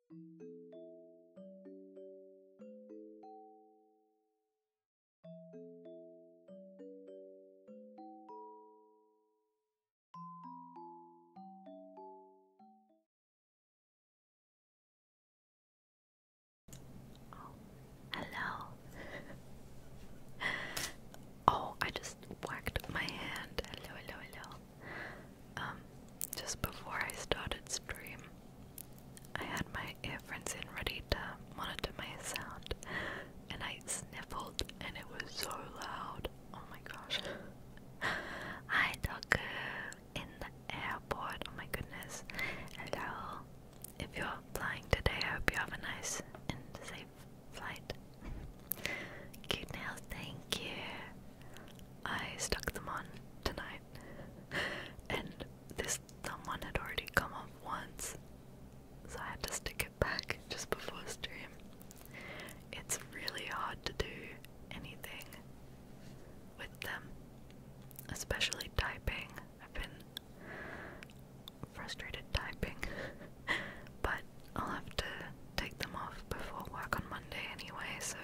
Oh, hello. oh, I just whacked my hand. Hello, hello, hello. Um, just before I started stream, I had my earphones in ready to monitor my sound, and I sniffled, and it was so loud. Oh my gosh. Hi, Doku, in the airport. Oh my goodness. Hello. If you're flying today, I hope you have a nice and safe flight. Cute thank you. I stuck them on tonight. and this thumb one had already come off once, so I had to stick it back just before stream. It's really hard to do anything with them, especially typing. I've been frustrated typing, but I'll have to take them off before work on Monday anyway, so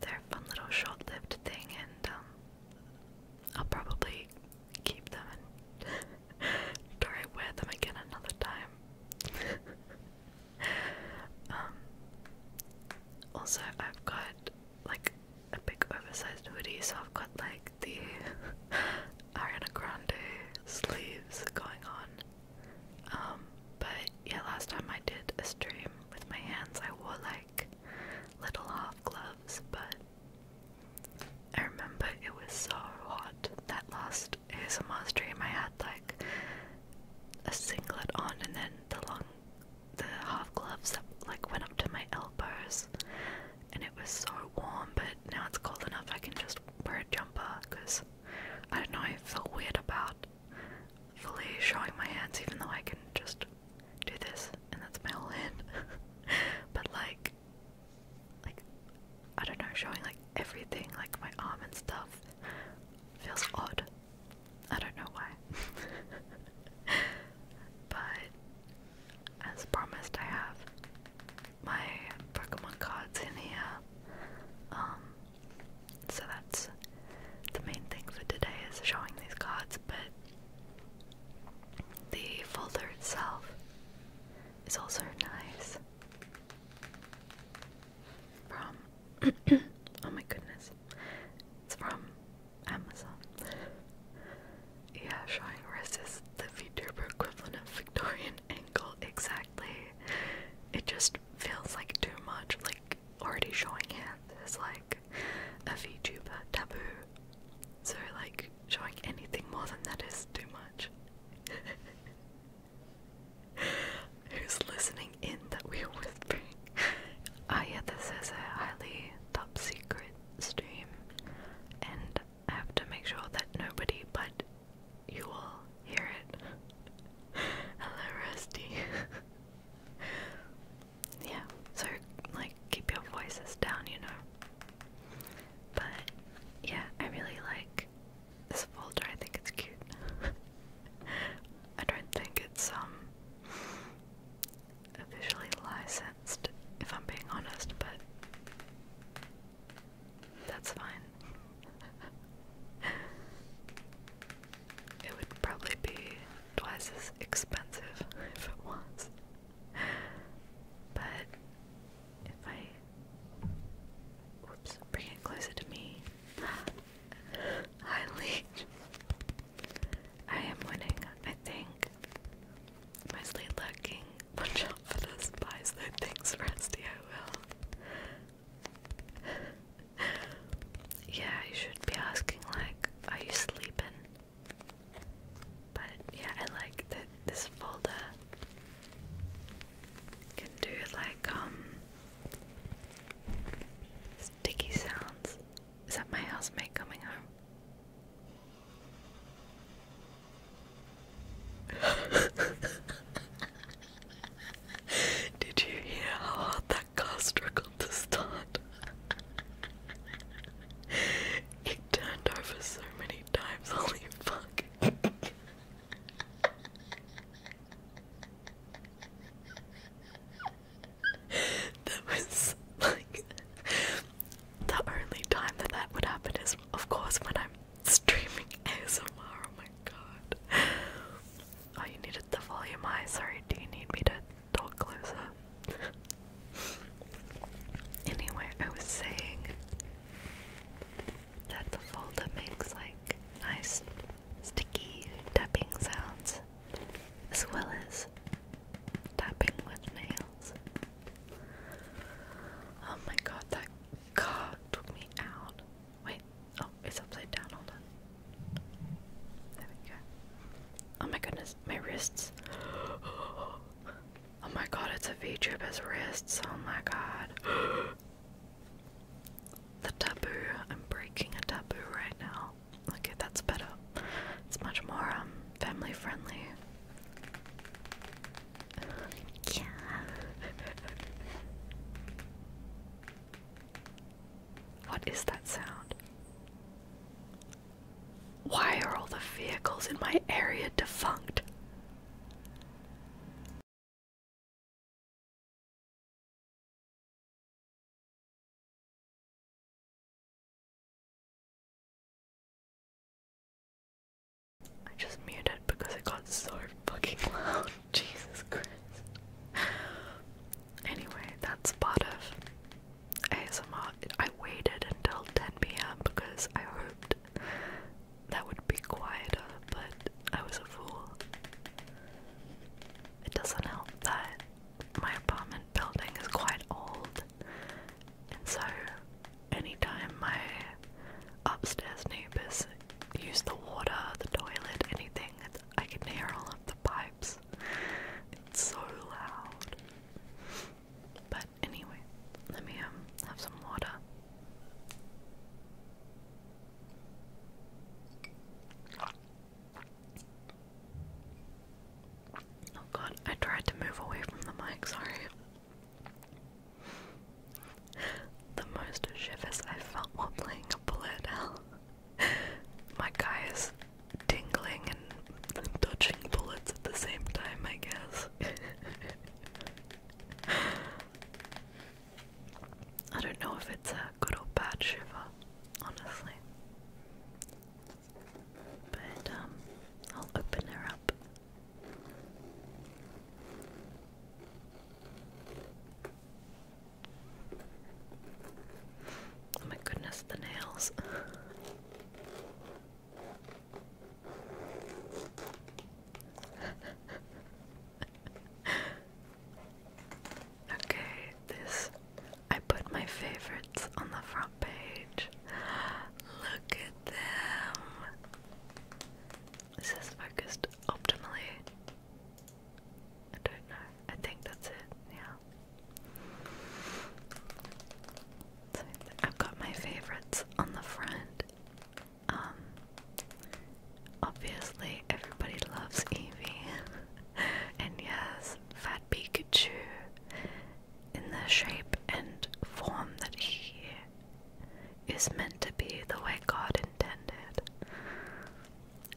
they're a fun little short lived thing, and um, I'll probably keep them and try to wear them again another time. Um, also, I've got like a big oversized hoodie, so I've got like the Ariana Grande sleeves going on, um, but yeah, last time I did a stream with my hands, I wore like little half gloves, but I remember it was so hot that last ASMR stream I had like a singlet on and then the long the half gloves that like went up to my elbows and it was so warm but now it's cold enough I can just wear a jumper because I don't know, I feel weird about fully showing my hands even though I can just do this and that's my whole hand. but like like I don't know, showing like everything, like my arm and stuff feels odd. I don't know why. but as promised I have my Pokemon cards in here. Um so that's the main thing for today is showing these cards, but the folder itself is also nice. From oh my goodness. It's from Amazon. yeah, showing Riss is the VTuber equivalent of Victorian angle exact it just feels like too much, like already showing hands is like a VTuber taboo. So like showing anything more than that is too much. Who's listening in that we are whispering? Ah yeah, this is a highly top secret stream and I have to make sure that nobody but you will hear it. Hello, yeah, so like keep your voices down, you know. But yeah, I really like this folder. I think it's cute. I don't think it's um officially licensed, if I'm being honest, but that's fine. it would probably be twice as expensive if it was. But if I. Whoops, bring it closer to me. Hi, Leech. I am winning, I think. Mostly lurking. Watch out for the spies that thinks Rusty I will. yeah, you should be asking like, are you sleeping? But yeah, I like that this folder can do like um sticky sounds. Is that my housemate coming home? Did you hear how hard that car struggled to start? it turned over so many times, holy fuck. that was like the only time that that would happen is, of course, when I'm streaming ASMR, oh my god. Oh, you needed the volume high, sorry, do you need me to talk closer? anyway, I was saying that the folder makes like nice sticky tapping sounds as well as tapping with nails. Oh my god, that car took me out. Wait, oh, it's upside down, hold on. There we go. Oh my goodness, my wrists. Oh my god, it's a VTuber's wrists. Oh my god. the taboo. I'm breaking a taboo right now. Okay, that's better. It's much more um, family friendly. Yeah. What is that sound? Why are all the vehicles in my area defunct? I just muted because it got so fucking loud. Jesus Christ. Anyway, that's part of ASMR. I waited until 10 p.m. because I hoped that would be quieter, but I was a fool. It doesn't help that my apartment building is quite old, and so anytime my upstairs neighbors use the water, the toilet, anything. I can hear all of the pipes. It's so loud. But anyway, let me um have some water. Oh god, I tried to move away from the mic, sorry. The most shivers I felt while playing a bullet hell. My guy is tingling and touching bullets at the same time, I guess. I don't know if it's a good or bad shiver, honestly. But, um, I'll open her up. Oh my goodness, the nails. okay, this. I put my favorites on the front page. Look at them. This is focused optimally. I don't know. I think that's it. Yeah. I've got my favorites on the front. Um, obviously, everybody loves Eevee. and yes, Fat Pikachu in the shape and form that he is meant to be, the way God intended.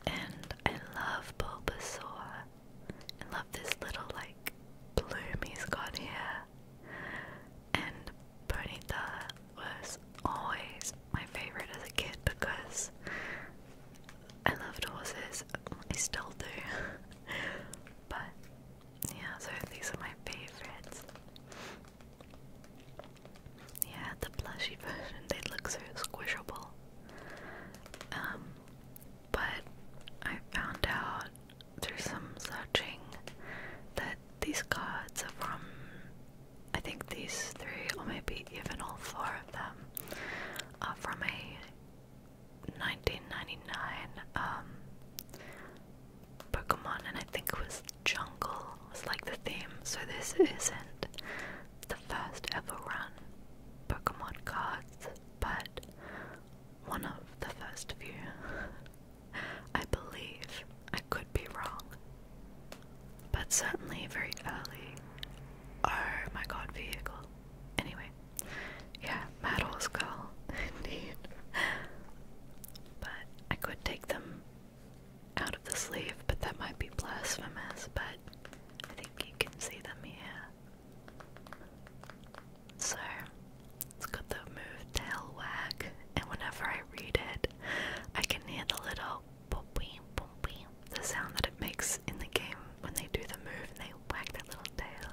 And I love Bulbasaur. I love this little like bloom he's got here. And Ponyta was always my favorite as a kid because I loved horses. I still do. but yeah, so these are my favorites. Yeah, the plushy version, they look so squishable. Um, but I found out through some searching that these cards are from, I think these three, or maybe even all four of them, are from a 1999 um, Pokemon, and I think was jungle was like the theme, so this isn't the first ever run Pokemon cards, but one of the first few. I believe. I could be wrong. But certainly very early. Oh my god, vehicle. Anyway. Yeah, medals Horse Girl, indeed. But I could take them out of the sleeve, but that might be blasphemous, but I think you can see them here. So, it's got the move tail wag, and whenever I read it, I can hear the little boom boom the sound that it makes in the game when they do the move and they whack their little tail.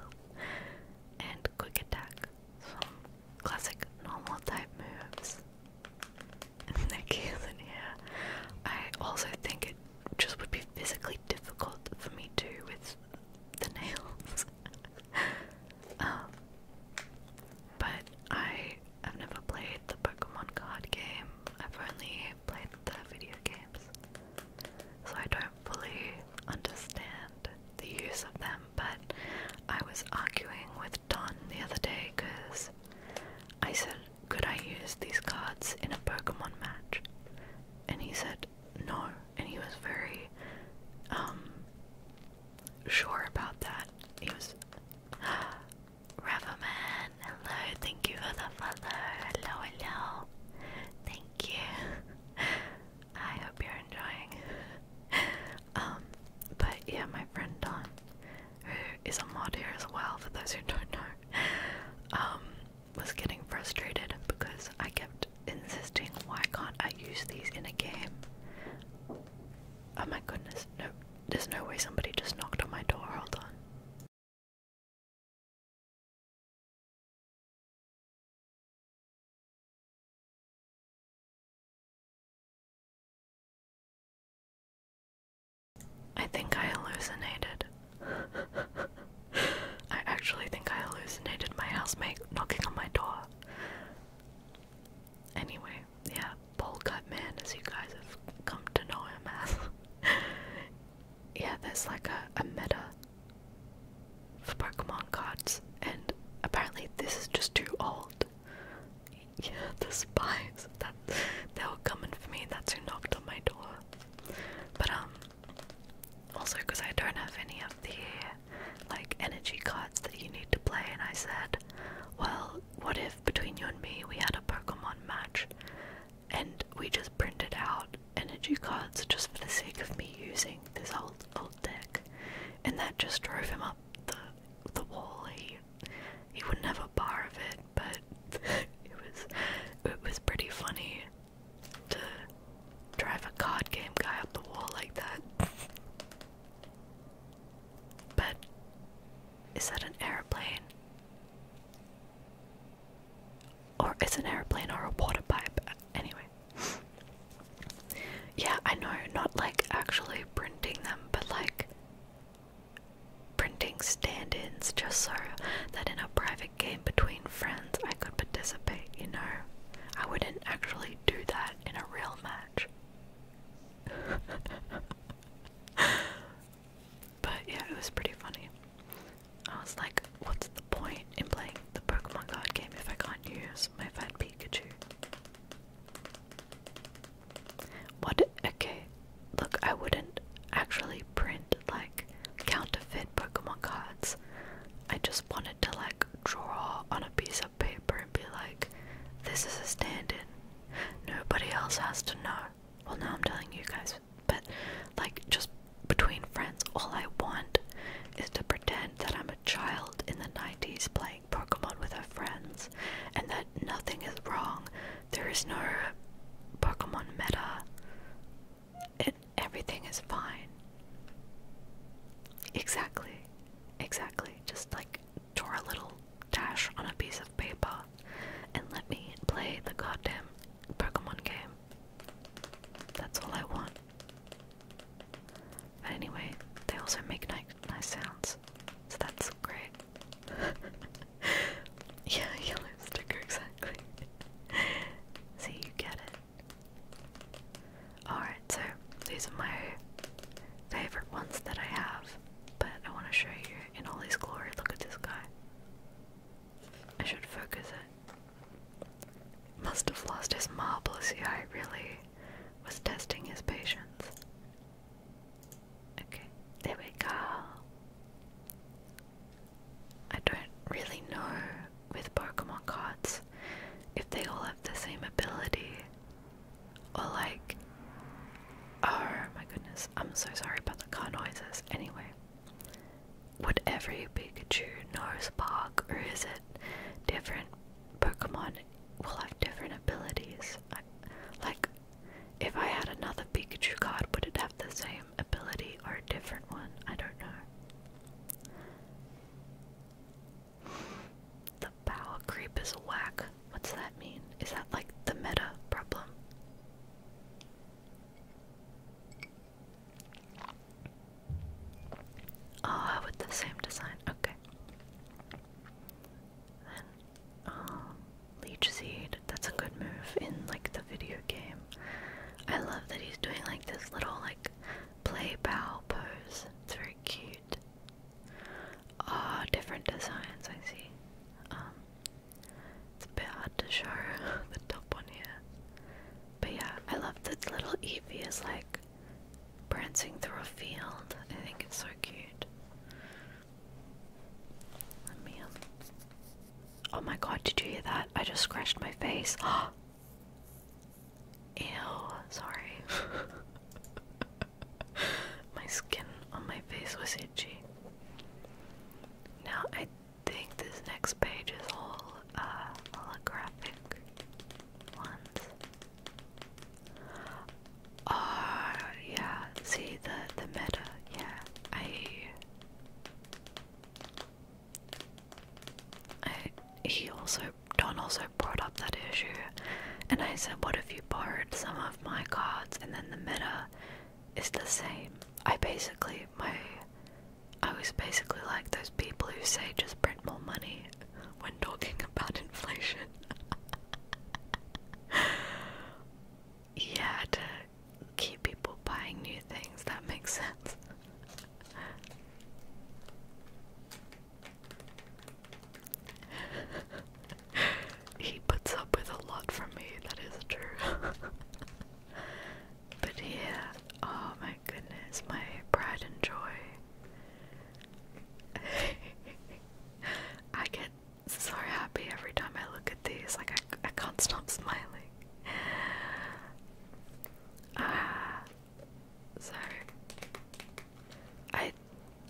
And quick attack, some classic normal type moves. Nikki's in here. I also think it just would be physically difficult for me to with the nails. Um, but I have never played the Pokemon card game. I've only played the video games. So I don't fully understand the use of them, but I was arguing with Don the other day because I said, Could I use these cards in a Pokemon match? And he said, No. And he was very um, sure about that. He was. Raverman, hello, thank you for the follow. Hello, hello. Thank you. I hope you're enjoying. Um, but yeah, my friend Don, who is a mod here as well, for those who don't know, um, was getting frustrated because I kept insisting, why can't I use these in a game? Oh my goodness, no, there's no way somebody just knocked on my door, hold on. I think I hallucinated. I actually think I hallucinated my housemate knocking on my door. Anyway, yeah, Polecut Man, as you guys have come to know him as. yeah, there's like a, a meta for Pokemon cards, and apparently this is just too old. Yeah, the spies. That they were coming for me. That's who knocked on my door. But um, also because I don't have any of the like energy cards that you need to play, and I said, well, what if between you and me we had a Pokemon match, and we just printed out energy cards just for the sake of me using this old old deck, and that just drove him up the the wall he wouldn't have a bar of it, but it was it was pretty funny to drive a COD game guy up the wall like that. But is that an airplane? Or is an airplane or a water pipe. Anyway. Yeah, I know, not like actually printing them, but like printing stand ins just so that in a private game between friends I could participate, you know. I wouldn't actually do that in a real match. but yeah, it was pretty funny. I was like, what's the point in playing the Pokemon card game if I can't use my fan Pikachu? What? Okay, look, I wouldn't actually print like counterfeit Pokemon cards. I just wanted to like draw on a piece of paper and be like, this is a stand in. Nobody else has to know. Well, now I'm telling you guys, but like, just between friends, all I want is to pretend that I'm a child in the 90s playing Pokemon with her friends and that nothing is wrong. There is no Pokemon meta. everything is fine. Exactly. Exactly. Just like draw a little dash on a piece of paper and let me play the goddamn Pokemon game. That's all I want. But anyway, they also make nice sounds, so that's great. yeah, yellow sticker, exactly. See, you get it. Alright, so these are my favorite ones that I have, but I want to show you in all his glory. Look at this guy. I should focus it. Must have lost his marbles, yeah, I really was testing his patience. Okay, there we go. I don't really know with Pokemon cards if they all have the same ability or like. Oh my goodness, I'm so sorry about the car noises. Anyway, would every Pikachu know Spark or is it different Pokemon will have different abilities? like, if I had another Pikachu card, would it have the same ability or a different one? I don't know. The power creep is whack. What's that mean? Is that like the meta problem? oh, with the same design. Okay. Then, um, Seed. That's a good move in like the video game. I love that he's doing like this little like play bow pose. It's very cute. Ah, different designs I see. Um, it's a bit hard to show the top one here. But yeah, I love that little Evie is like prancing through a field. I think it's so cute oh my god! Did you hear that? I just scratched my face. Ew! Sorry. my skin on my face was itchy. Now I think this next page is all uh, holographic ones. Ah, yeah. See the the meta. Yeah, I. I he also Don also brought up that issue, and I said, "What if you borrowed some of my cards?" And then the meta is the same. I basically my. I was basically like those people who say just print more money when talking about inflation. you to keep people buying new things. That makes sense. he puts up with a lot from me, that is true. but yeah, oh my goodness, my pride and joy. I get so happy every time I look at these. Like I, I can't stop smiling. Ah, so I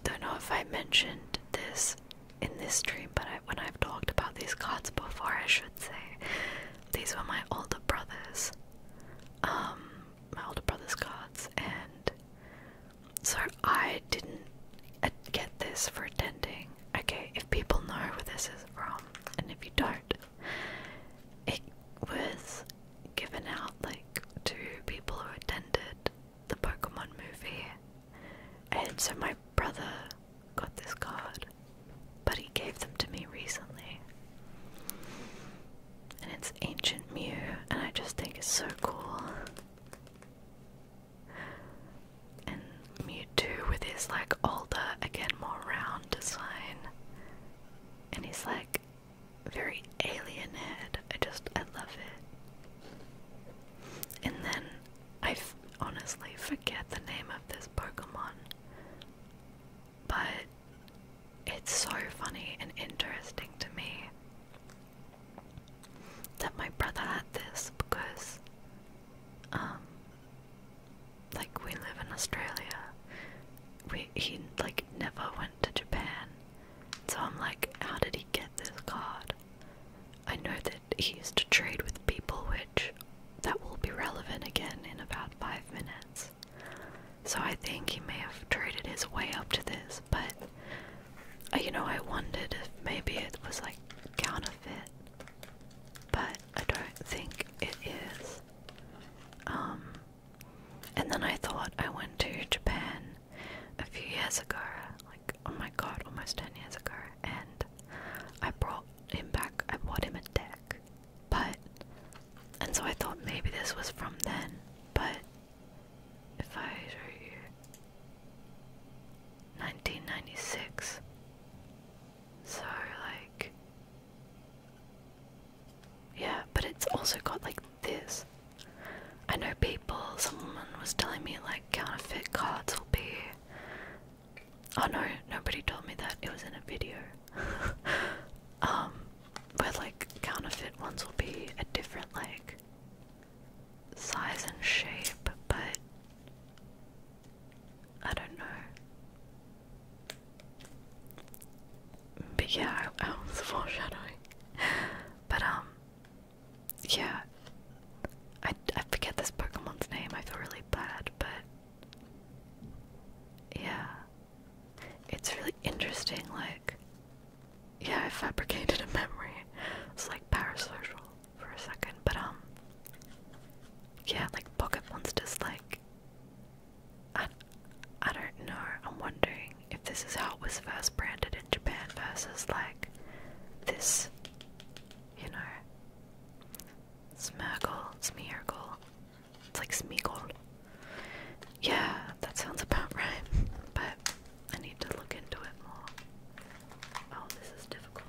don't know if I mentioned this in this stream, but when I've talked about these cards before, I should say these were my older brothers. Um, my older brother's cards, and so I didn't uh, get this for attending. Okay, if people know where this is from, and if you don't, it was given out like to people who attended the Pokemon movie. And so my brother got this card, but he gave them to me recently. And it's Ancient Mew, and I just think it's so cool. And Mewtwo with his like older, again more round design. And he's like very alien head. I just I love it. And then I f honestly forget the name of this Pokemon. But it's so funny and interesting to me that my brother had this because um like we live in Australia. We he like never went to Japan. So I'm like, how did he get this card? I know that he used to trade with people which that will be relevant again in about five minutes. So I think he may have traded his way up to this, but uh, you know, I wondered if maybe it was like counterfeit, but I don't think it is. Um, and then I thought I went to Japan a few years ago, like oh my god, almost 10 years ago, and I brought him back, I bought him a deck, but and so I thought maybe this was from then, but if I were you 1996. So, like, yeah, but it's also got like this. I know people, someone was telling me like counterfeit cards will be. Oh no, nobody told me that. It was in a video. um, but like counterfeit ones will be a different like size and shape, but I don't know. But yeah, I, was foreshadowing. But um, yeah, I, I forget this Pokemon's name. I feel really bad, but yeah, it's really interesting. Like, yeah, I fabricated a memory. It's like parasocial for a second, but um, yeah, like pocket monsters, like I, I don't know. I'm wondering if this is how it was first branded in Japan versus like this, you know, Smirgle, Smeargle. It's like Smeagol. Yeah, that sounds about right, but I need to look into it more. Oh, this is difficult.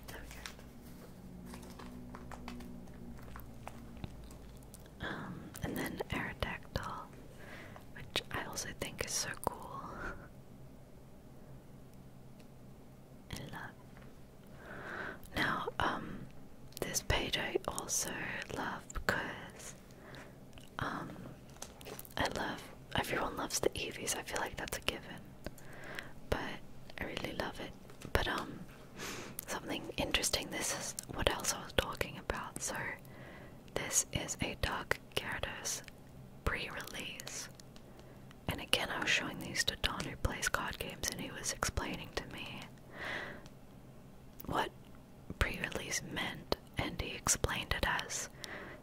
Um, and then Aerodactyl, which I also think is so cool. love. Now, um, this page I also love because, um, I love everyone loves the Evies. I feel like that's a given. But I really love it. But um something interesting this is what else I was talking about. So this is a Dark Gyarados pre-release. And again I was showing these to Don who plays card games and he was explaining to me what pre-release meant and he explained it as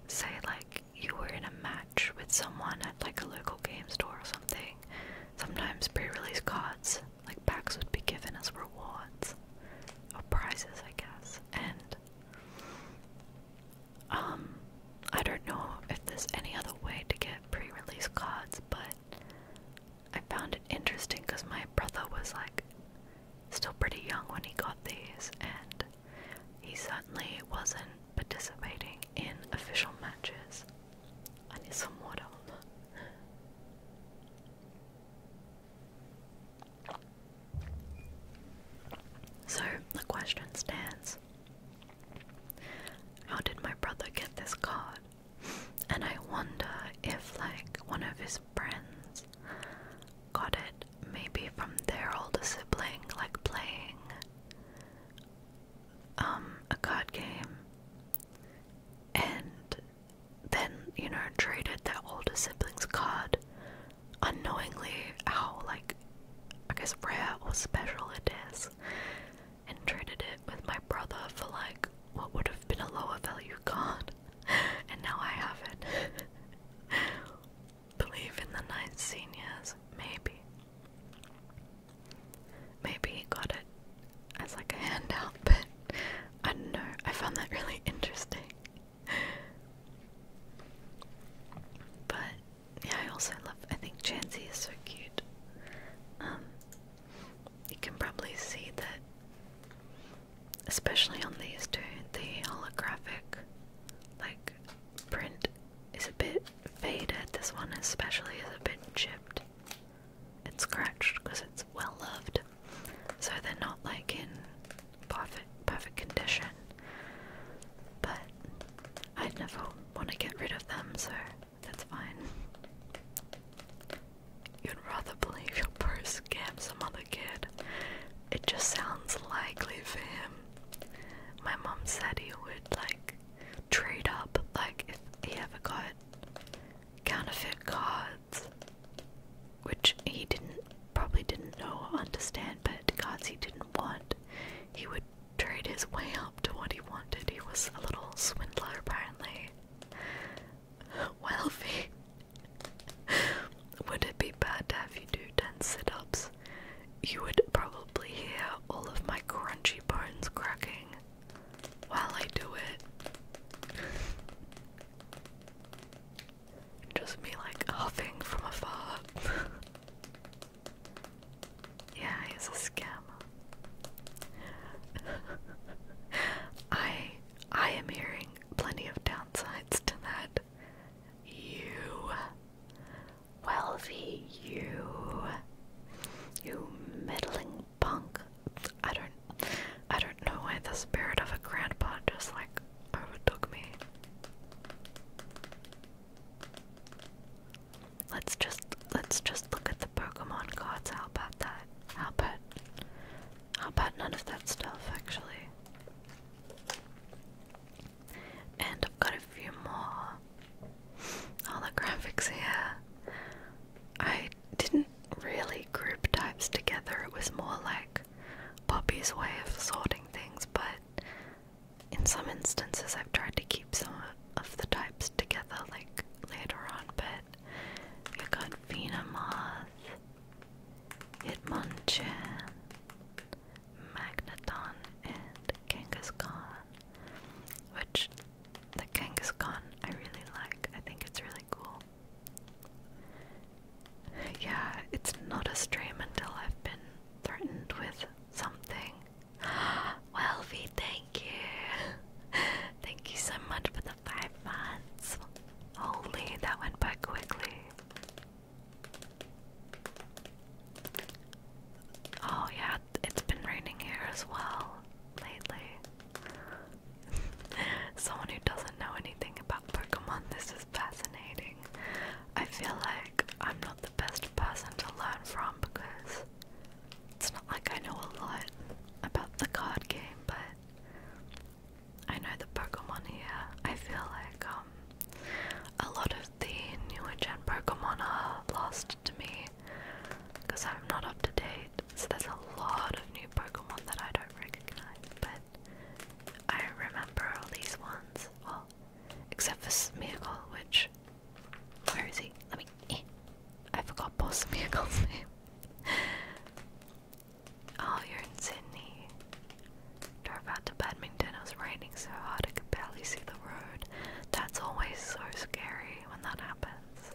say like you were in a match with someone at like a local game store or something. Sometimes pre-release cards, like packs, would be given as rewards or prizes, I guess. And um, I don't know if there's any other way to get pre-release cards, but I found it interesting because my brother was like still pretty young when he got these, and he certainly wasn't participating in official matches. and need some water So the question stands How did my brother get this card? And I wonder if, like, one of his friends got it maybe from their older sibling, like playing um, a card game, and then you know traded their older sibling's card, unknowingly how like I guess rare or special it is, and traded it with my brother for like what would have been a lower value card, and now I have it. believe in the Nicenias, maybe. Maybe he got it as like a handout, but I don't know. I found that really interesting. But yeah, I also love I think Chansey is so cute. Um, you can probably see that especially on these two, the holographic like print is a bit faded. This one especially is a bit chipped It's scratched because it's well loved. So they're not like in perfect perfect condition. But I'd never want to get rid of them, so that's fine. You'd rather believe your purse came from other kid. It just sounds likely for him my mom said he would like trade up, like if he ever got counterfeit cards, which he didn't probably didn't know or understand, but cards he didn't want, he would trade his way up to what he wanted. He was a little swindler, apparently. Wealthy. Would it be bad to have you do 10 sit ups you would probably hear all of my crunchy bones cracking while I do it. Just me like huffing from afar. yeah, he's a scammer. I I am hearing plenty of downsides to that. You well, Welvy, you. You middling punk. I don't. I don't know why the spirit of a grandpa just like overtook me. Let's just let's just look at the Pokemon cards. How about that? How about how about none of that stuff actually? And I've got a few more holographics here. I didn't really group types together, it was more like Poppy's way of sorting things, but in some instances I've tried to keep some of the types together, like later on, but you've got Venomoth, Hitmonchan, Magneton, and Kangaskhan. Which, the Kangaskhan, I really like. I think it's really cool. Yeah, it's not a stream until I've been threatened with something. well, V, thank you. thank you so much for the five months. Holy, that went by quickly. Oh, yeah, it's been raining here as well lately. Someone who doesn't know anything about Pokemon, this is fascinating. I feel like I'm not the best person to learn from because it's not like I know a lot about the card game, but I know the Pokemon here. I feel like, um, a lot of the newer gen Pokemon are lost to me because I'm not up to date. So there's a lot of new Pokemon that I don't recognize, but I remember all these ones. except for Smeargle, which. Where is he? Let me. Eh, I forgot poor Smeargle's Oh, you're in Sydney. Drove out to bed and it was raining so hard I could barely see the road. That's always so scary when that happens.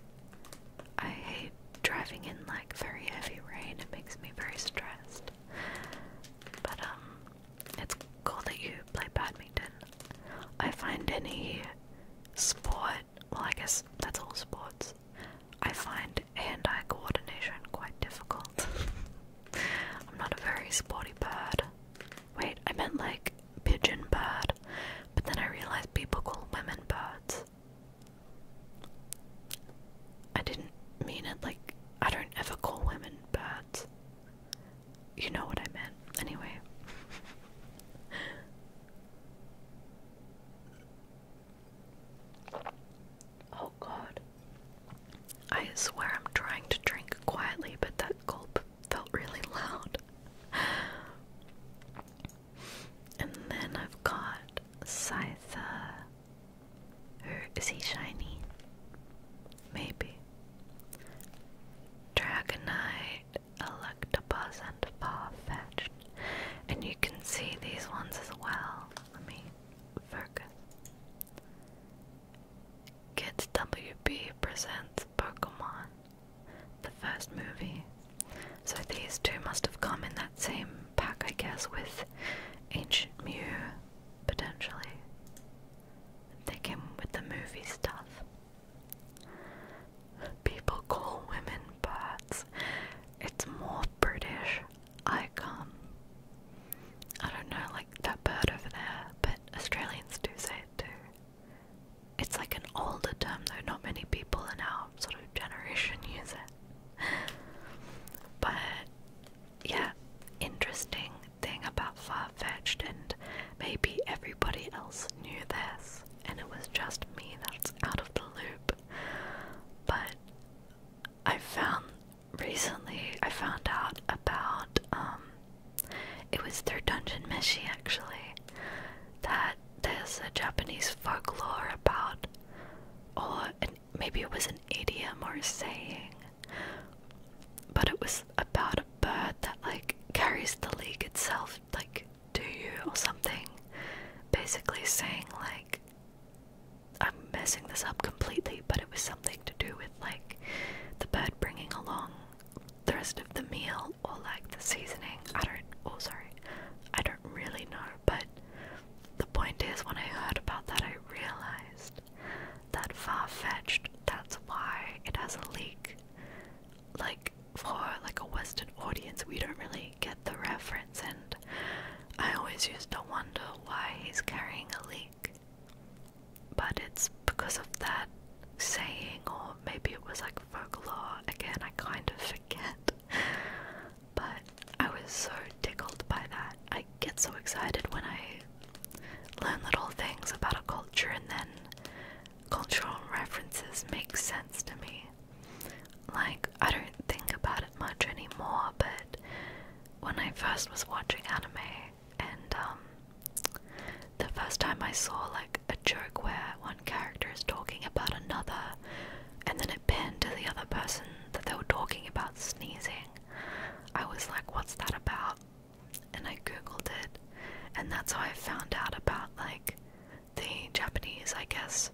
I hate driving in like very heavy rain, it makes me very stressed. But um, it's cool that you play badminton. I find any sport, well, I guess that's all sports, I find hand eye coordination quite difficult. I'm not a very sporty bird. Wait, I meant like pigeon bird, but then I realized people call women birds. I didn't mean it like I don't ever call women birds. You know what I meant, anyway. oh god. I swear I'm trying to drink quietly, but that gulp felt really loud. And then I've got Scytha. Or is he shiny? Maybe. Dragonite, Electabuzz, and farfetch And you can see these ones as well. Let me focus. Kids WB presents Pokemon, the first movie. So these two must have come in that same pack, I guess, with Ancient Mew, potentially. They came with the movie stuff. People call women birds. It's more British icon. I don't know, like that bird over there, but Australians do say later. It's like an older term though, not many people in our sort of generation use it. but yeah, interesting thing about far fetched, and maybe everybody else knew this, and it was just me that's out of the loop. But I found recently, I found out about um, it was through Dungeon Meshi actually that there's a Japanese folklore about, or maybe it was an idiom or saying, but it was about a bird that like carries the league itself, like to you or something, basically saying like. I'm messing this up completely, but it was something to do with like the bird bringing along the rest of the meal or like the seasoning. I don't. Oh, sorry. I don't really know. But the point is, when I heard about that, I realized that far fetched. That's why it has a leak. Like for like a Western audience, we don't really get the reference, and I always used to wonder why he's carrying a leak. But it's because of that saying, or maybe it was like folklore. Again, I kind of forget. but I was so tickled by that. I get so excited when I learn little things about a culture and then cultural references make sense to me. Like, I don't think about it much anymore, but when I first was watching anime, and um the first time I saw like a joke where one character is talking about another and then it pinned to the other person that they were talking about sneezing, I was like, what's that about? And I googled it and that's how I found out about like the Japanese, I guess,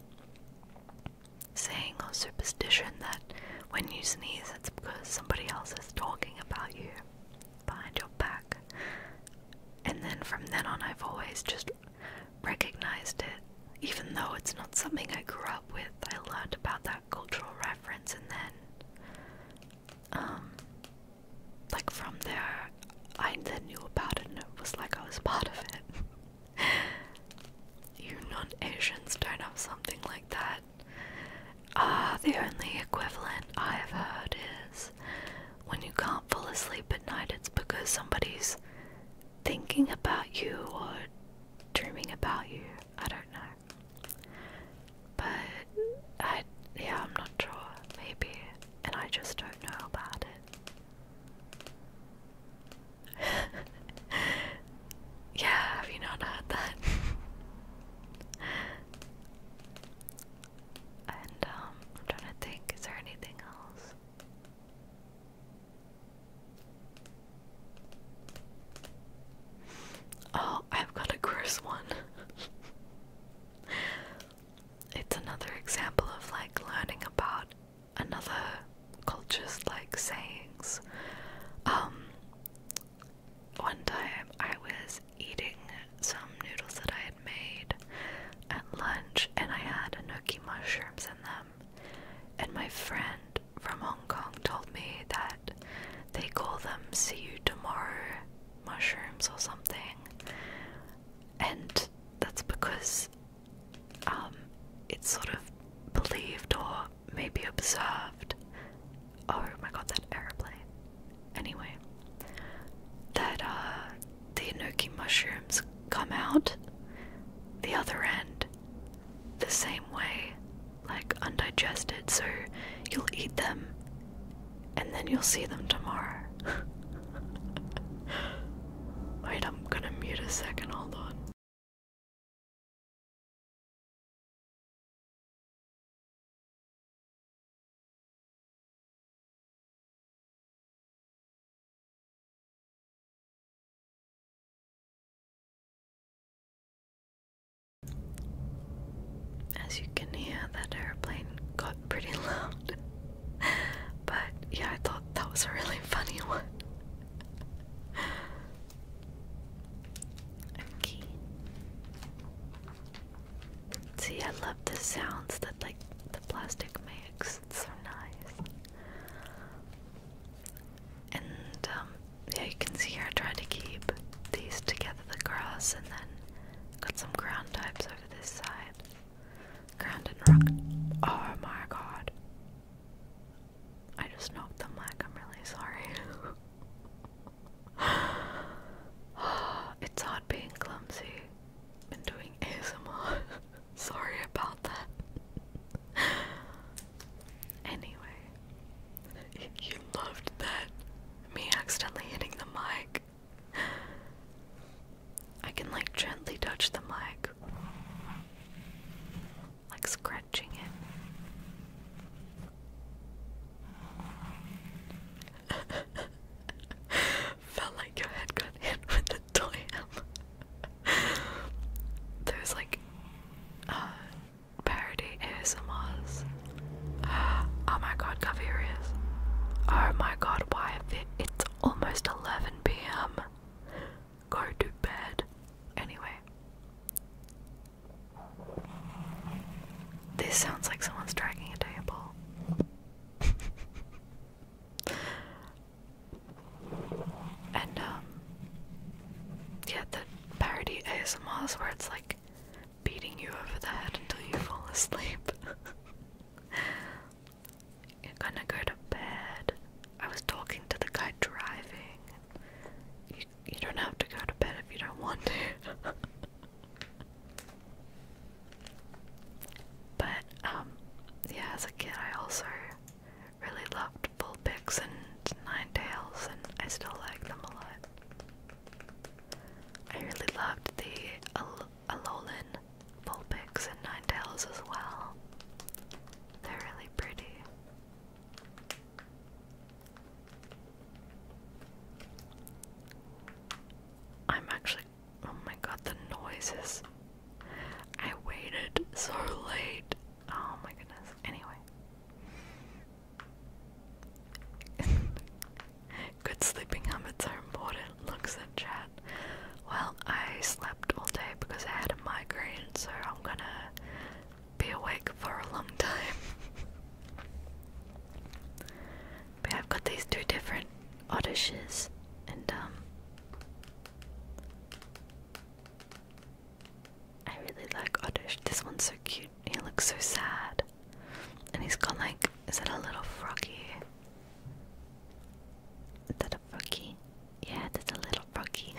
saying or superstition that when you sneeze it's because somebody else is talking about you behind your back. And then from then on, I've always just recognized it, even though it's not something I grew up with. I learned about that cultural reference, and then, um, like from there, I then knew about it, and it was like I was part of it. you non Asians don't have something like that. Ah, the only equivalent I have heard is when you can't fall asleep at night, it's because somebody's thinking about you or dreaming about you. I don't know. But yeah, I'm not sure. Maybe. And I just don't know about it. yeah, have you not heard that? And um, I'm trying to think, is there anything else? Oh, I've got a gross one. it's another example of like learning about another culture's like sayings. Um, one time I was eating some noodles that I had made at lunch and I had enoki mushrooms in them. And my friend from Hong Kong told me that they call them see you tomorrow mushrooms or something. And that's because um, it's sort of believed or maybe observed oh my god, that aeroplane. Anyway, that uh, the Inoki mushrooms come out the other end the same way, like undigested, so you'll eat them and then you'll see them tomorrow. Wait, I'm gonna mute a second, hold on. As you can hear, that airplane got pretty loud. but yeah, I thought that was a really funny one. okay. See, I love the sounds that like the plastic makes. It's so nice. And um, yeah, you can see here I tried to keep these together, the grass, and then got some ground types over this side. Ground and rock. Oh my god. I just knocked the mic, I'm really sorry. it's hard being clumsy and doing ASMR. Sorry about that. anyway, you loved that. Me accidentally hitting the mic. I can like gently touch the mic, like scratching it. Felt like your head got hit with a toy hammer. There's like uh, parody ASMRs. Uh, oh my god, Gavirius. Oh my god, why? it's almost 11 pm. Go to bed. Anyway. This sounds like someone's dragging a table. and, um, yeah, the parody ASMRs where it's like beating you over the head until you fall asleep. You're gonna go to bed. I was talking to the guy driving. you don't have to go to bed if you don't want to. But um, yeah, as a kid I also really loved bull and nine tails and I still like them a lot. I really loved the Al Alolan bull and nine tails as well. They're really pretty. I'm actually. Oh my god, the noises. I waited so late. Oh my goodness. Anyway. Good sleeping habits are important. Looks at chat. Well, I slept all day because I had a migraine, so I'm gonna be awake for a long time. But I've got these two different Oddish and um I really like Oddish. This one's so cute. He looks so sad. And he's got like is that a little froggy? Is that a froggy? Yeah, that's a little froggy.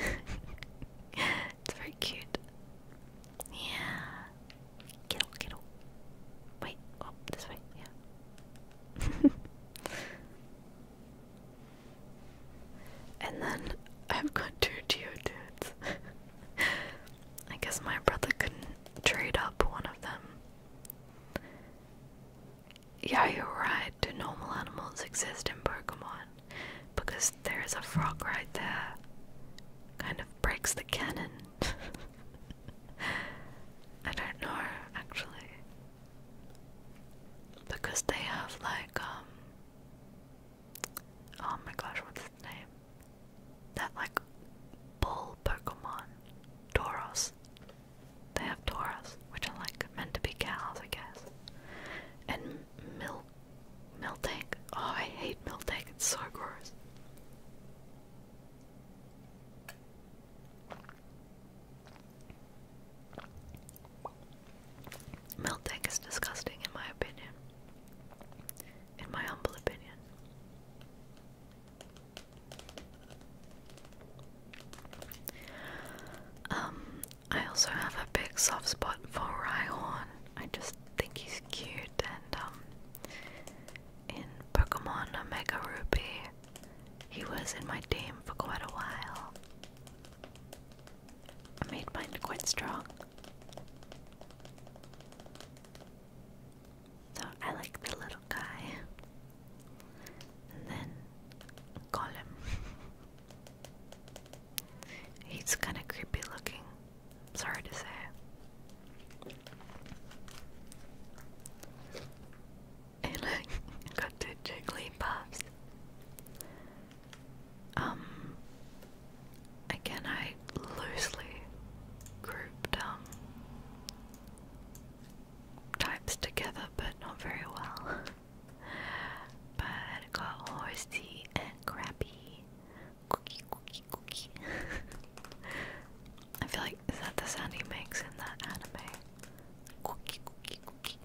it's very cute. Yeah. Kittle, kittle. Wait, oh, this way, yeah. and then I've got two Geodudes. I guess my brother couldn't trade up one of them. Yeah, you're right. Do normal animals exist in Pokemon? Because there is a frog right there. Kind of breaks the canon. I don't know actually. Because they have like um oh my gosh, what's his name? That like bull Pokemon. Tauros. They have Tauros, which are like meant to be cows, I guess. And Mil tank Oh I hate tank it's so gross. Milk is disgusting, in my opinion. In my humble opinion. Um, I also have a big soft spot for Rhyhorn. I just think he's cute and um in Pokemon Omega Ruby. He was in my team for quite a while. I made mine quite strong. So I like the little guy. And then call him. He's kinda creepy looking sorry to say. Hey look, got two Jigglypuffs. Um, again I loosely grouped um types together but not very well. But got horsey and crappy, I feel like is that the sound he makes in that anime? Cookie, cookie, cookie.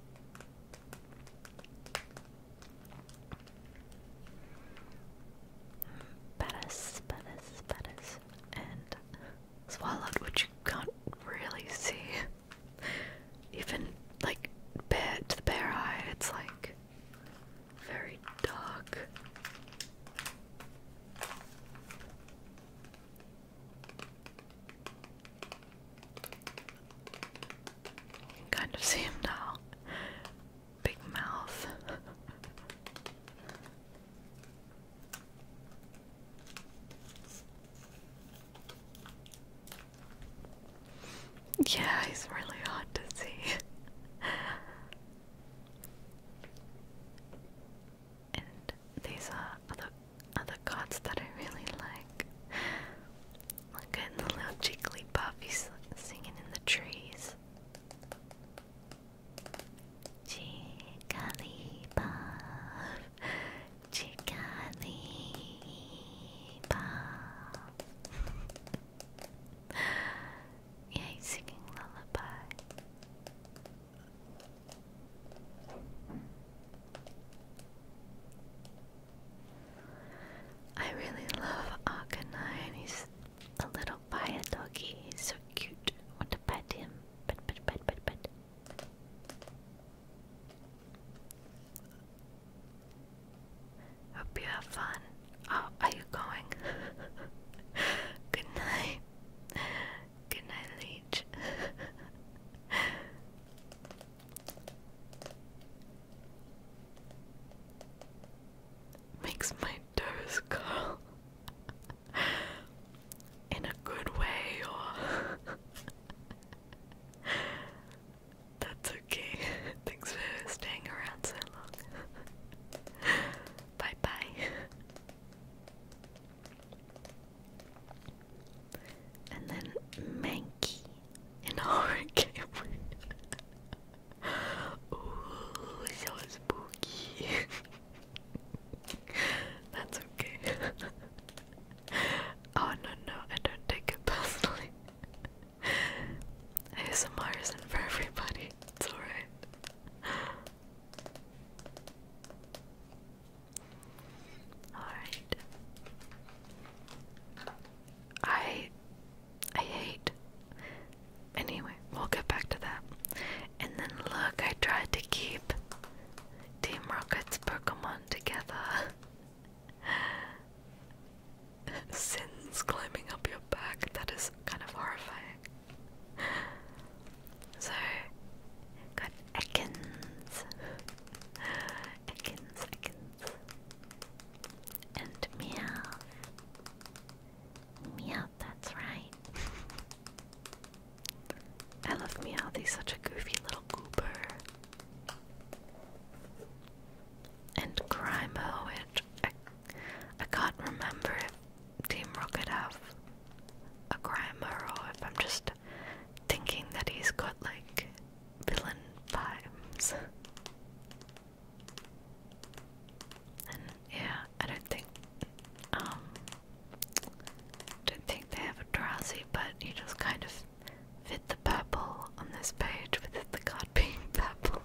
and swallowed, which you can't really see. Even like bare to the bare eye, it's like very dark. kind of see him now. Big mouth. yeah, he's really hard to see. And these are other other cards that I really like. Look at the little Jigglypuff, singing in the trees. Jigglypuff, Jigglypuff. Yay, singing lullaby. I really love Arcanine. He's a little fire doggy. He's so cute. I want to pet him. Pet, pet, pet, pet, pet. Hope you have fun. Oh, are you going? Good night. Good Leech. Makes my toes curl in a good way, or that's okay. Thanks for staying around so long. bye bye. And then Manky in horror game. Ooh, so spooky. That's okay. oh no no, I don't take it personally. ASMR isn't for everybody. It's alright. Alright. I I hate anyway, we'll get back to that. And then look, I tried to keep Team Rocket's Pokemon together. Sins climbing up your back, that is kind of horrifying. so got Ekans, Ekans, Ekans, and Meow, Meow. That's right. I love Meow. He's such a goofy little goober. And Grimo, which I can't remember if Team Rocket have a grammar, or if I'm just thinking that he's got like villain vibes. And yeah, I don't think um don't think they have a drowsy, but he just kind of fit the purple on this page with the card being purple.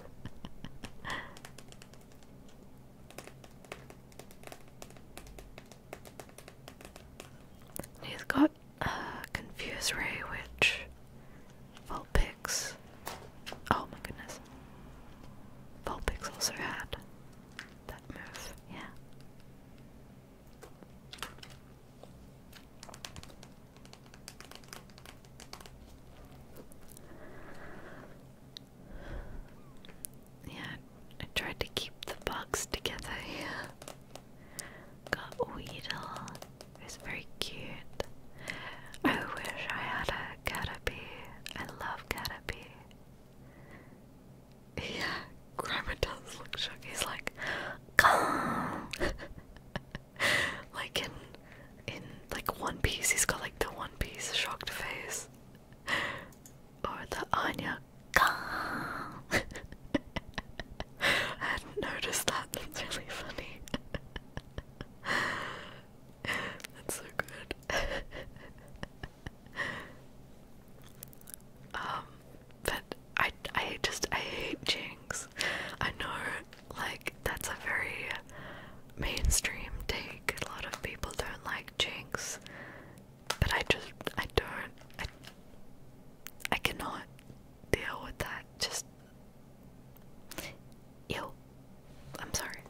He's got a uh, confuse ray, which Vulpix. Oh my goodness, Vulpix also had that move. Yeah. Yeah, I tried to keep the bugs together here. Got Weedle, who's very cute. I wish I had a Caterpie. I love Caterpie. Yeah, Grimer does look shocked. He's like, like in in like One Piece, he's got like the One Piece shocked face. or the Anya I hadn't noticed that. That's really funny. That's so good. um, but I, I just I hate Jinx. I know, like that's a very mainstream take. A lot of people don't like Jinx, but I just I don't I I cannot deal with that. Just ew. I'm sorry.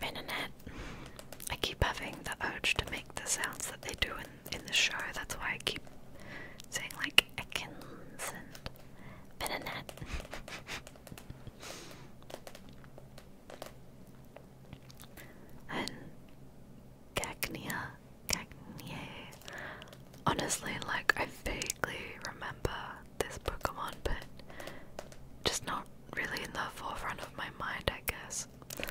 Menonet. I keep having the urge to make the sounds that they do in in the show. That's why I keep saying like Ekins and Menonet. And Cagnia, Honestly, like I vaguely remember this Pokemon, but just not really in the forefront of my mind, I guess.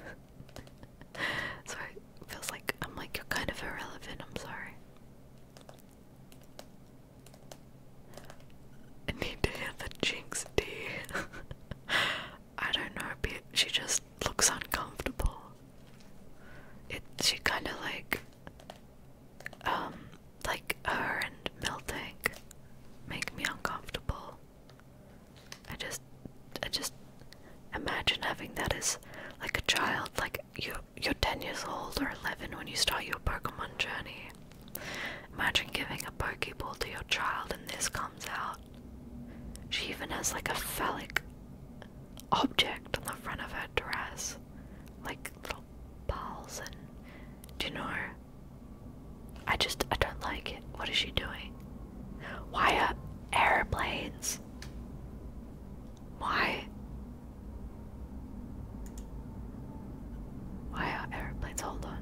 so it feels like I'm like you're kind of irrelevant. I'm sorry. I need to hear the jinx D. I don't know, she just looks uncomfortable. It she kinda like um like her and Miltank make me uncomfortable. I just I just imagine having that as like a child, like you you're ten years old or eleven when you start your Pokemon journey. Imagine giving a Pokeball to your child and this comes out. She even has like a phallic object on the front of her dress. Like little balls and do you know? I just I don't like it. What is she doing? Why are airplanes? Why? Why are airplanes? Hold on.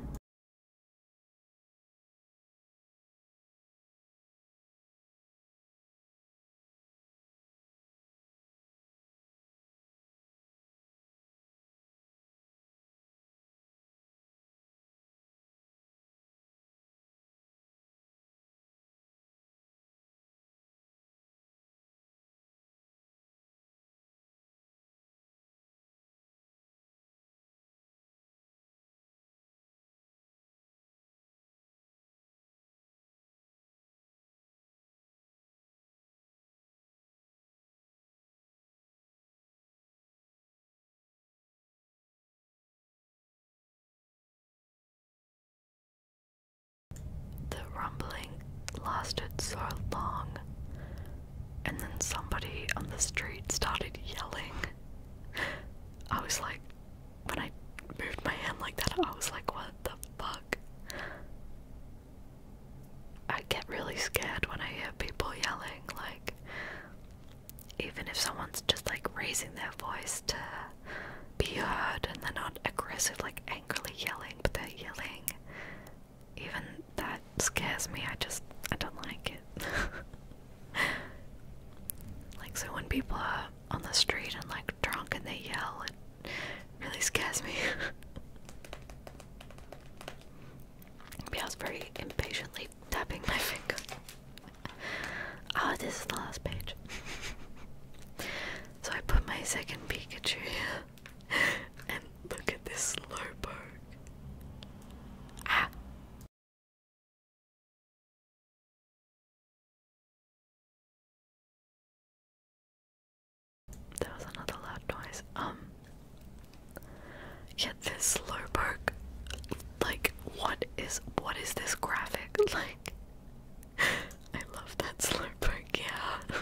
The rumbling lasted so long and then somebody on the street started yelling. I was like, when I moved my hand like that, I was like, what the fuck? I get really scared when I hear people yelling, like, even if someone's just like raising their voice to be heard and they're not aggressive, like angrily yelling, but they're yelling even that scares me. I just I don't like it. like so when people are on the street and like drunk and they yell, it really scares me. Yeah, I was very impatiently tapping my finger. Ah, this is the last page. so I put my second Pikachu and look at this slowpoke. Ah. There was another loud noise. Um. Yet this slowpoke. Like, what is what is this graphic? Like, I love that slowpoke. Yeah.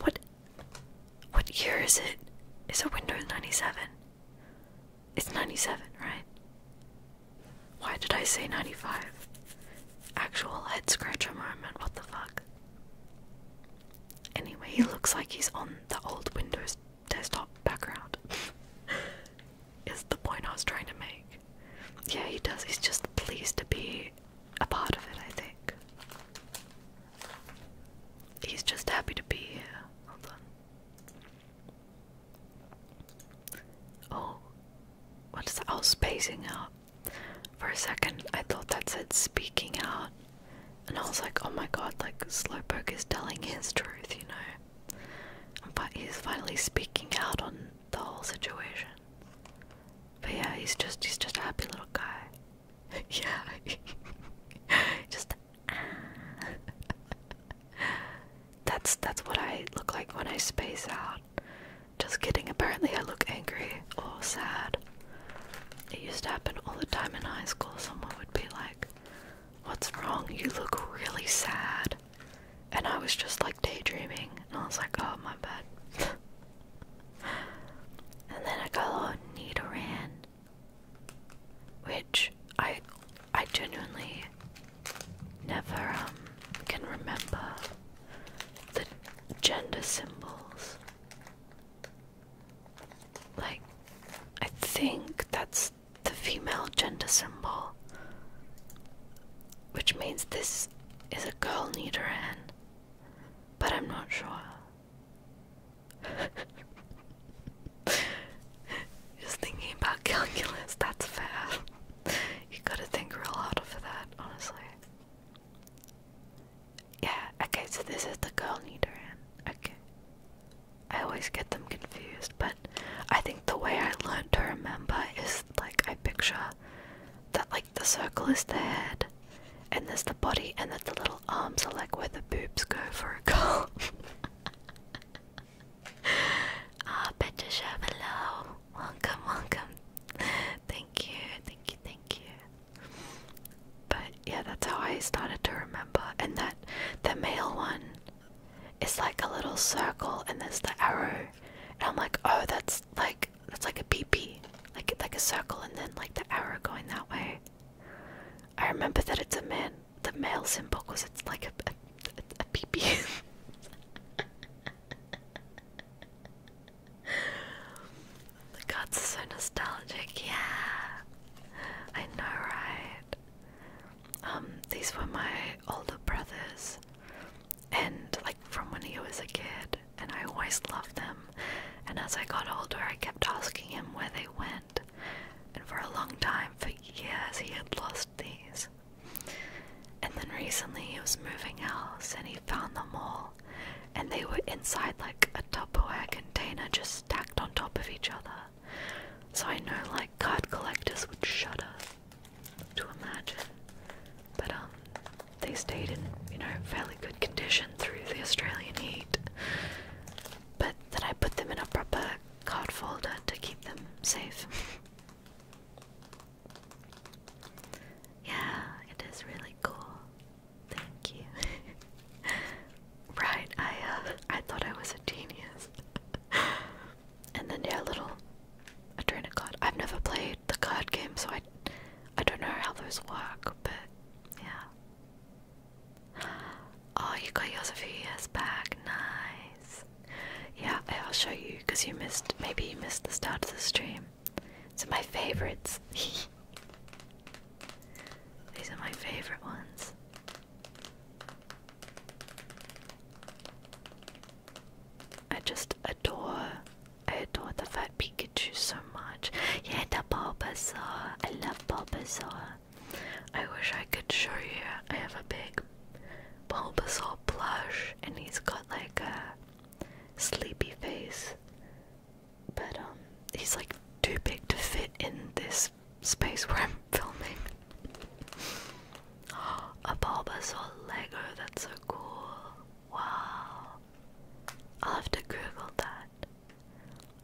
What what year is it? Is it Windows 97? It's 97, right? Why did I say 95? Actual head scratcher moment, what the fuck? Anyway, he looks like he's on the old Windows desktop background. is the point I was trying to make. Yeah, he does. He's just pleased to be a part of it, I think. He's just happy to be here. Hold on. Oh, what is that? Oh, spacing out. For a second, I thought that said speaking out, and I was like, oh my god, like Slowpoke is telling his truth, you know? But he's finally speaking out on the whole situation. But yeah, he's just he's just a happy little guy yeah. Just ah. That's that's what I look like when I space out. Just kidding, apparently I look angry or sad. It used to happen all the time in high school. Someone would be like, What's wrong? You look really sad. And I was just like daydreaming, and I was like, Oh, my bad. and then I got Nidoran, which I I genuinely never um, can remember the gender symbols. Like, I think that's the female gender symbol, which means this is a girl Nidoran, but I'm not sure. Just thinking about calculus, that's fair. You gotta think real hard for that, honestly. Yeah, okay, so this is the girl Nidoran. Okay. I always get them confused, but I think the way I learned to remember is like I picture that like the circle is the head and there's the body, and that's the little arms are like where the boobs go for a girl. Ah, oh, Petra welcome, welcome. Thank you, thank you, thank you. But yeah, that's how I started to remember. And that the male one is like a little circle, and there's the arrow. And I'm like, oh, that's like that's like a PP, like like a circle, and then like the arrow going that way. I remember that it's a man, the male symbol, because it's like a, a, a, a pee-pee. so nostalgic, yeah. I know, right? Um, these were my older brothers, and like from when he was a kid, and I always loved them and as I got older, I kept asking him where they went, and for a long time, for years, he had lost these. And then recently, he was moving house and he found them all, and they were inside like a Tupperware container just stacked on top of each other. So I know like card collectors would shudder to imagine. But um they stayed in, you know, fairly good condition through the Australian heat, but then I put them in a proper card folder to keep them safe. yeah, it is really cool. Thank you. right, I uh, I thought I was a genius. and then yeah, little a card. I've never played the card game, so I I don't know how those work, but yeah. Oh, you got yours a few years back. Nice. Yeah, I'll show you because you missed. Maybe you missed the start of the stream. These are my favorites. These are my favorite ones. I just adore. I adore the fat Pikachu so much. Yeah, the Bulbasaur. Uh, I love Bulbasaur. Uh, I wish I could show you. I have a big Bulbasaur plush, and he's got like a sleepy face. But um, he's like too big to fit in this space where I'm filming. a Bulbasaur Lego. That's so cool. Wow. I'll have to Google that.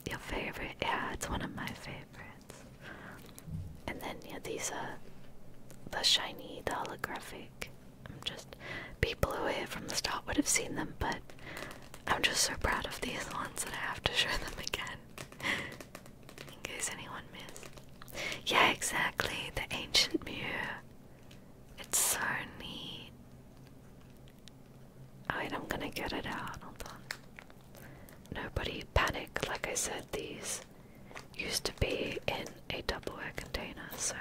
Your favorite? Yeah, it's one of my favorites. And then yeah, these are the shiny, the holographic. I'm just people who here from the start would have seen them, but I'm just so proud of these ones that I have to show them again. In case anyone missed. Yeah, exactly. The ancient mirror. It's so neat. I'm gonna get it out. Hold on. Nobody panic. Like I said, these used to be in a Doubleware container, so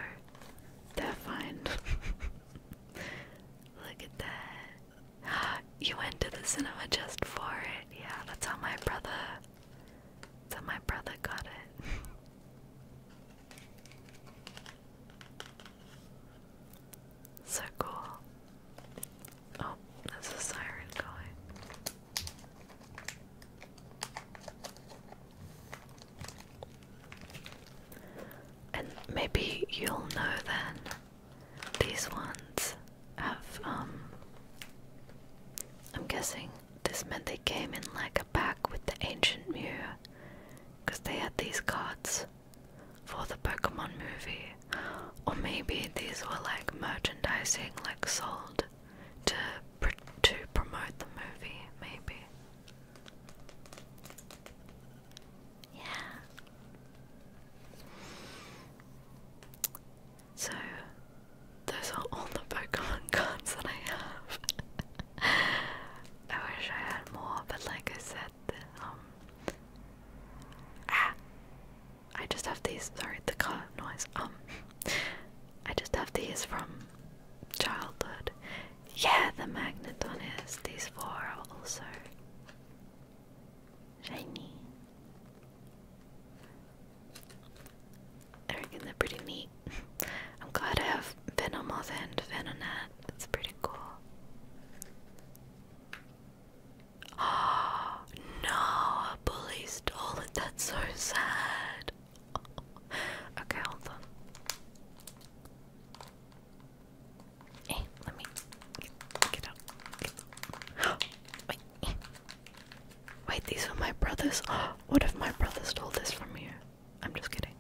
they're fine. Look at that. You went to the cinema just for it. Yeah, that's how my brother. That's how my brother got it. So cool. Oh, there's a siren going. And maybe you'll know then these ones have um I'm guessing this meant they came in like a pack with the ancient mirror because they had these cards for the Pokemon movie, or maybe these were like merchandising, like sold to to promote the movie, maybe. Yeah. So those are all the Pokemon cards that I have. I wish I had more, but like I said, um ah I just have these sorry the car noise um I just have these from childhood yeah the magneton is these four are also shiny I reckon they're pretty neat I'm glad I have Venomoth and Venonat it's pretty cool Oh, no, I bully stole it. That's so sad. okay, hold on. Hey, eh, let me get, out. Wait. Eh. Wait, these were my brothers. What if my brothers stole this from me? I'm just kidding.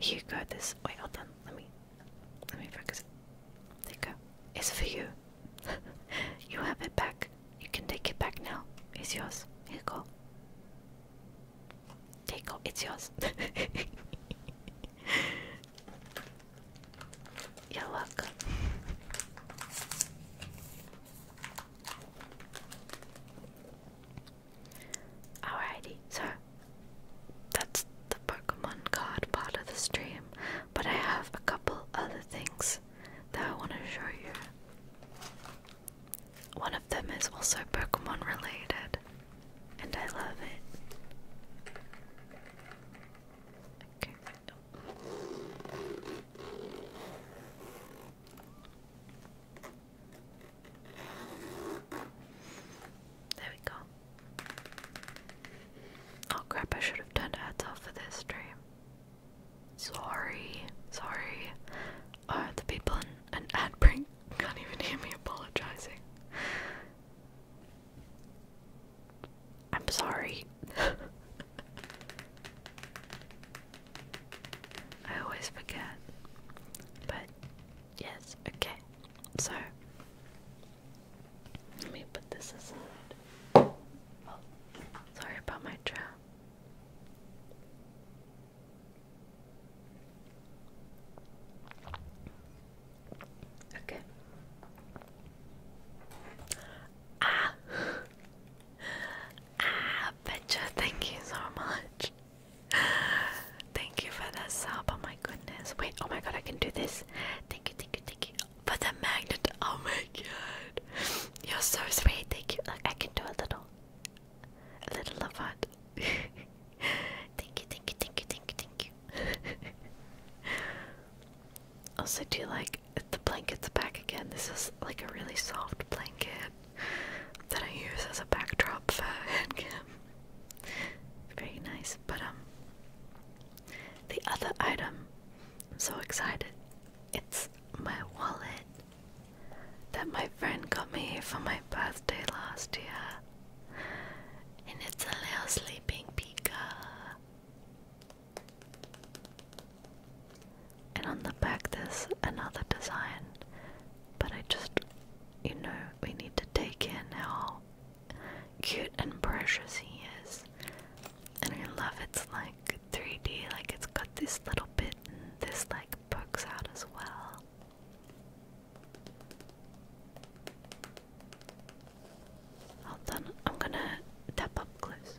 you got This. Wait, hold on. Let me. Let me focus. There you It's for you. you have it back. You can take it back now. It's yours. Here you go. There you It's yours. You're Alrighty, so that's the Pokemon card part of the stream, but I have a couple other things that I want to show you. One of them is also Pokemon related, and I love it. Okay. There we go. Oh crap, I should have done ads off for this stream. Sorry, sorry. Uh, the people in an ad break can't even hear me apologizing. I'm sorry. I always forget. But yes, okay. So let me put this aside. Oh, sorry about my trap. Okay. Ah, ah, Petra, thank you so much. Thank you for the sub. Oh my goodness. Wait, oh my god, I can do this. Thank you, thank you, thank you. For the magnet. Oh my god. You're so sweet. Thank you. Look, I can do a little. A little of it. thank you, thank you, thank you, thank you, thank you. also, do you like the blankets back again? This is like a really soft blanket that I use as a backdrop for hand cam. Very nice, but um, the other item, I'm so excited, it's my wallet that my friend got me for my birthday last year. And it's a little sleeping pika. And on the back there's another design, but I just, you know, we need to take in now cute and precious he is. And I love it's like 3D, like it's got this little bit and this like pokes out as well. Hold on, I'm gonna tap up close.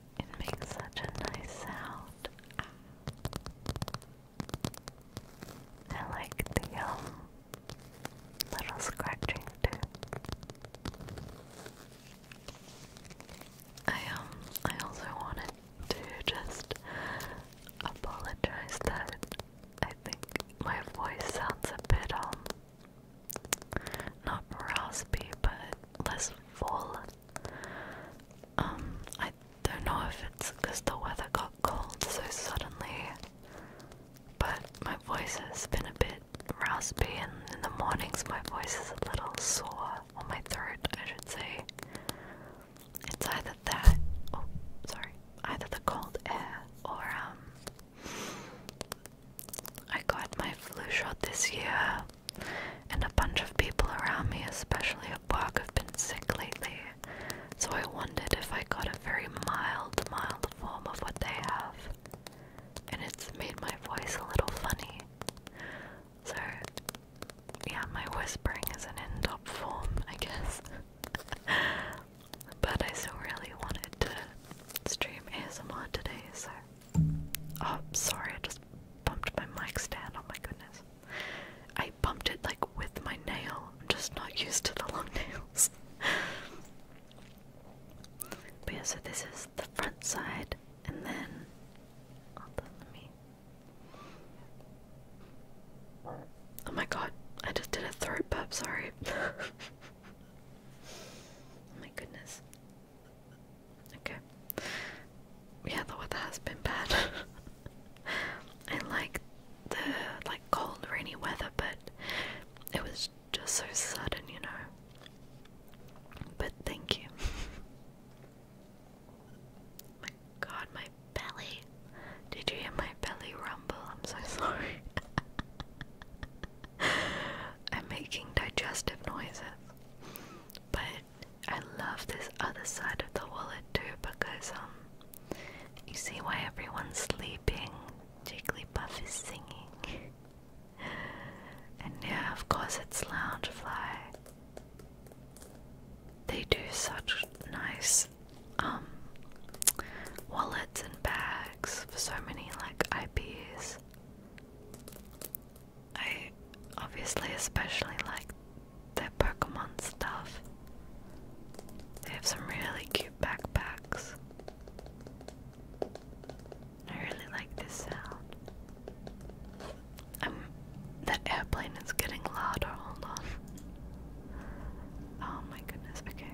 It makes such a nice sound. I like the um, little scratching too. I um I also wanted to just apologize that I think my voice sounds a bit um not raspy but less full. Um, I I don't know if it's because the weather got cold so suddenly, but my voice has been a bit raspy, and in the mornings my voice is a little sore on my throat, I should say. It's either that, oh, sorry, either the cold air or, um, I got my flu shot this year, and a bunch of people around me, especially at work, have been sick lately, so I wondered if I got a very mild, mild form of what they have. And it's made my voice a little funny. So, yeah, my whispering is an in top form, I guess. but I still really wanted to stream ASMR today, so. Oh, sorry, I just bumped my mic stand, oh my goodness. I bumped it like with my nail. I'm just not used to the long nails. but yeah, so this is the front side, and then Oh my god, I just did a throat burp, sorry. oh my goodness. Okay. Yeah, the weather has been bad. I like the like cold, rainy weather, but it was just so sudden, you know. But thank you. my God, my belly! Did you hear my belly rumble? I'm so sorry. I'm making digestive noises, but I love this other side of the wallet too because um you see why everyone's sleeping. Jigglypuff is singing. and yeah, of course it's Loungefly. They do such nice um, wallets and bags for so many like IPs. I obviously especially like their Pokemon stuff. They have some really cute backpacks. I really like this sound. Um, that airplane is getting louder, hold on. Oh my goodness, okay.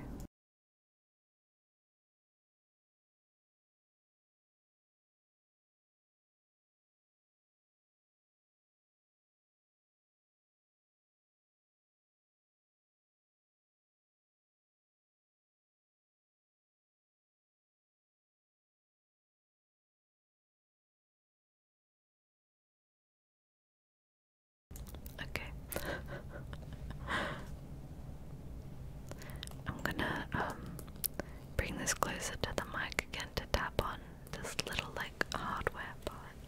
Okay. I'm gonna um, bring this closer to the mic again to tap on this little like hardware part.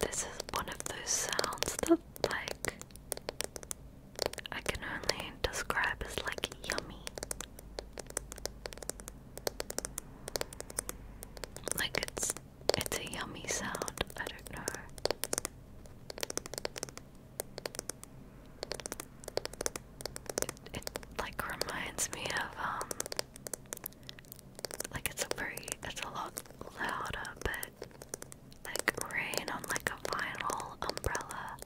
This is one of those sounds that like I can only describe as like yummy. Like it's it's a yummy sound. I don't know. It, like reminds me of um like it's a very it's a lot louder but like rain on like a vinyl umbrella.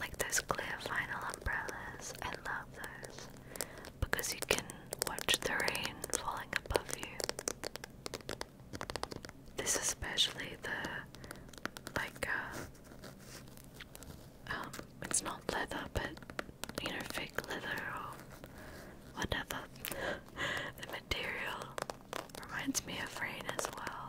Like those clear vinyl umbrellas. I love those because you can watch the rain falling above you. This is especially the like uh, um it's not leather but you know fake leather or whatever. the material reminds me of rain as well.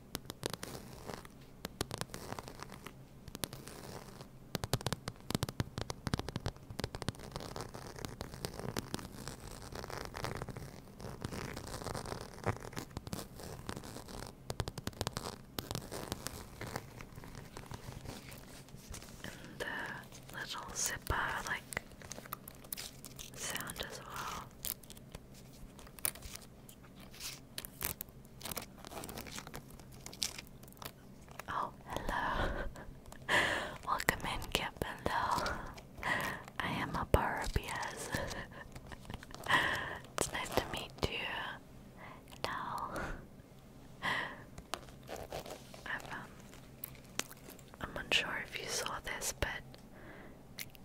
And the little zipper like sound as well. Oh, hello. Welcome in, Capello. I am a Barbias. it's nice to meet you. Now, um, I'm unsure if you saw this, but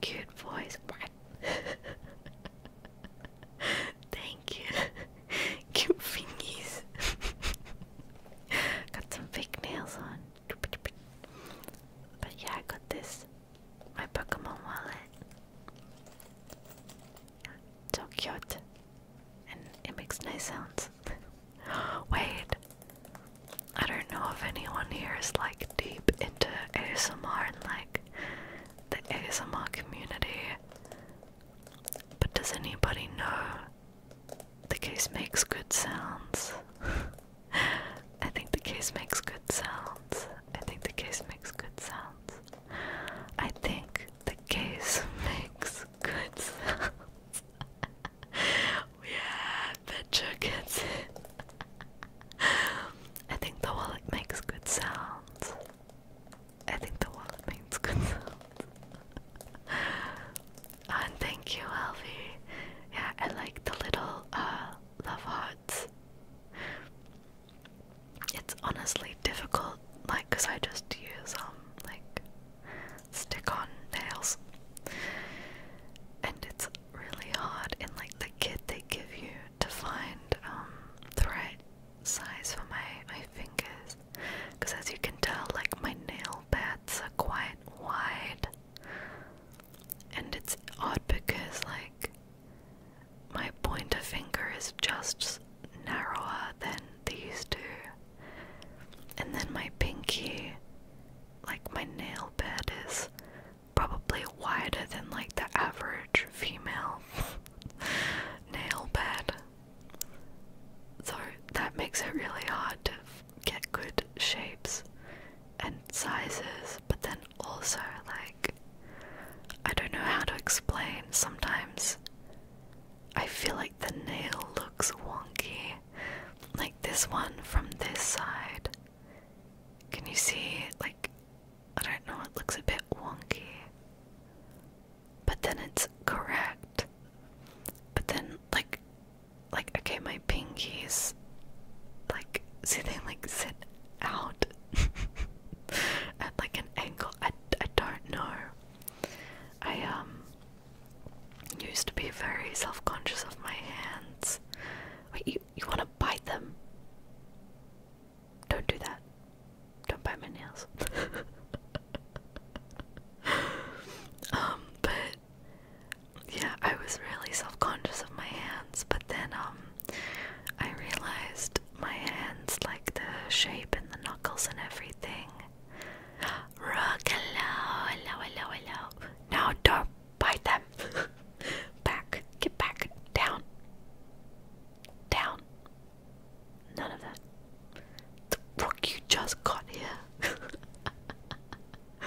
cute voice. Thank you. Cute fingies. got some fake nails on. But yeah, I got this. My Pokemon wallet. So cute. And it makes nice sounds. Wait. I don't know if anyone here is like deep into ASMR and like the ASMR community. But does anybody know the case makes good sounds? I think the case makes good sounds. I think the case makes good sounds. I think the case makes good sounds. yeah, betcha gets it. I think the wallet makes good sounds. I think the wallet makes good sounds. thank you, Alfie. Yeah, I like the little uh, love hearts. It's honestly difficult, like, cause I just use um like stick-on nails, and it's really hard. And like the kit they give you to find um, the right size for my, my fingers because as you can tell like my nail pads are quite wide and it's odd because like my pointer finger is just narrower than these two and then my pinky like my nail bed is probably wider than like the average female nail bed. So that makes it really hard to get good shapes and sizes, but then also, like, I don't know how to explain. Sometimes I feel like the nail looks wonky, like this one from this side. Can you see, like, I don't know, it looks a bit wonky. But then it's correct. But then like like okay my pinkies like see they like sit out at like an angle. I I don't know. I um used to be very self conscious of my hands. Wait, you you wanna bite them? Don't do that. Don't bite my nails. um, but yeah, I was really self conscious of my hands, but then um I realized my hands like the shape and the knuckles and everything. Rook, hello, hello, hello, hello. don't bite them. back. Get back down down. None of that. The fuck you just got here.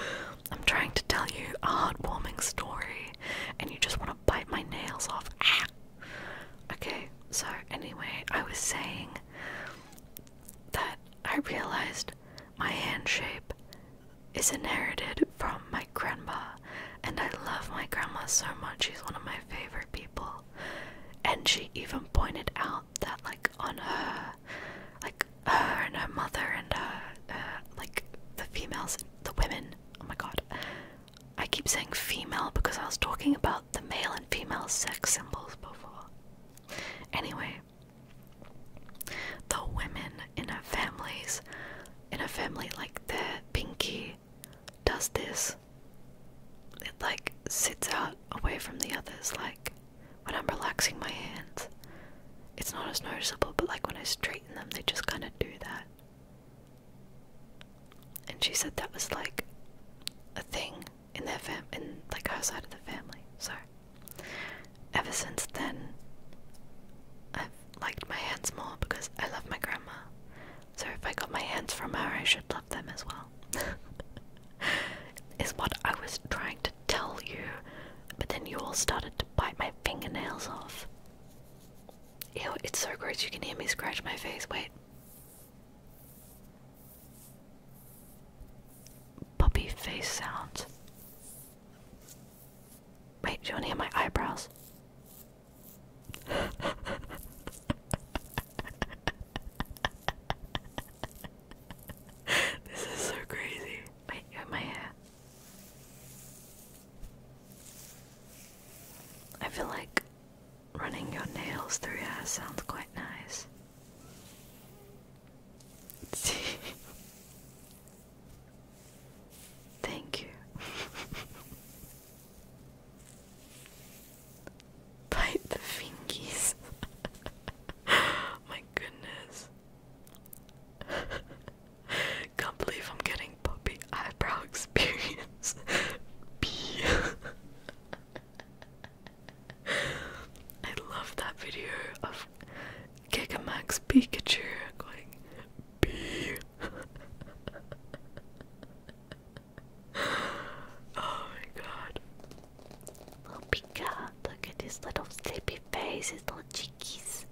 I'm trying to tell you a heartwarming story, and you just want to bite my nails off. Ah! Okay, so anyway, I was saying that I realized my hand shape is inherited from my grandma, and I love my grandma so much. She's one of my favorite people. And she even pointed out that, like, on her, like, her and her mother and her, like, the females, the women, oh my god. I keep saying female because I was talking about the male and female sex symbols before. Anyway, the women in her families, in her family, like the pinky does this. It like sits out away from the others. Like when I'm relaxing my hands, it's not as noticeable, but like when I straighten them, they just kind of do that. And she said that was like a thing in their fam, in like her side of the family. So ever since then, I've liked my hands more because I love my grandma so if I got my hands from her, I should love them as well. Is what I was trying to tell you, but then you all started to bite my fingernails off. Ew, it's so gross you can hear me scratch my face. Wait. Puppy face sounds. Wait, do you want to hear my eyebrows? this is so crazy. Wait, my hair. I feel like running your nails through hair sounds quite nice. Thank you. Bite the fingies. My goodness. Can't believe I'm getting puppy eyebrow experience. B. I love that video of Gigamax Pikachu going B oh my god. Oh, Pika, look at his little sleepy face, his little cheekies.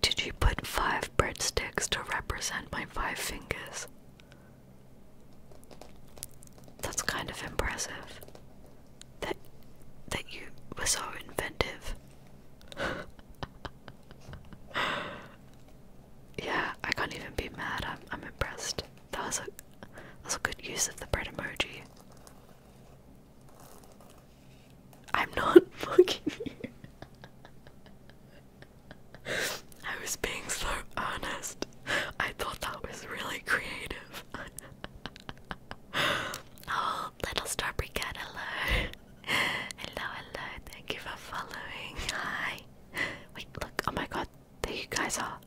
did you put five breadsticks to represent my five fingers? That's kind of impressive. That that you were so inventive. yeah, I can't even be mad. I'm I'm impressed. That was a that a good use of the bread emoji. I'm not fucking I was being so honest. I thought that was really creative. oh, little strawberry cat, hello, hello, thank you for following. Hi. Wait, look, oh my god, there you guys are.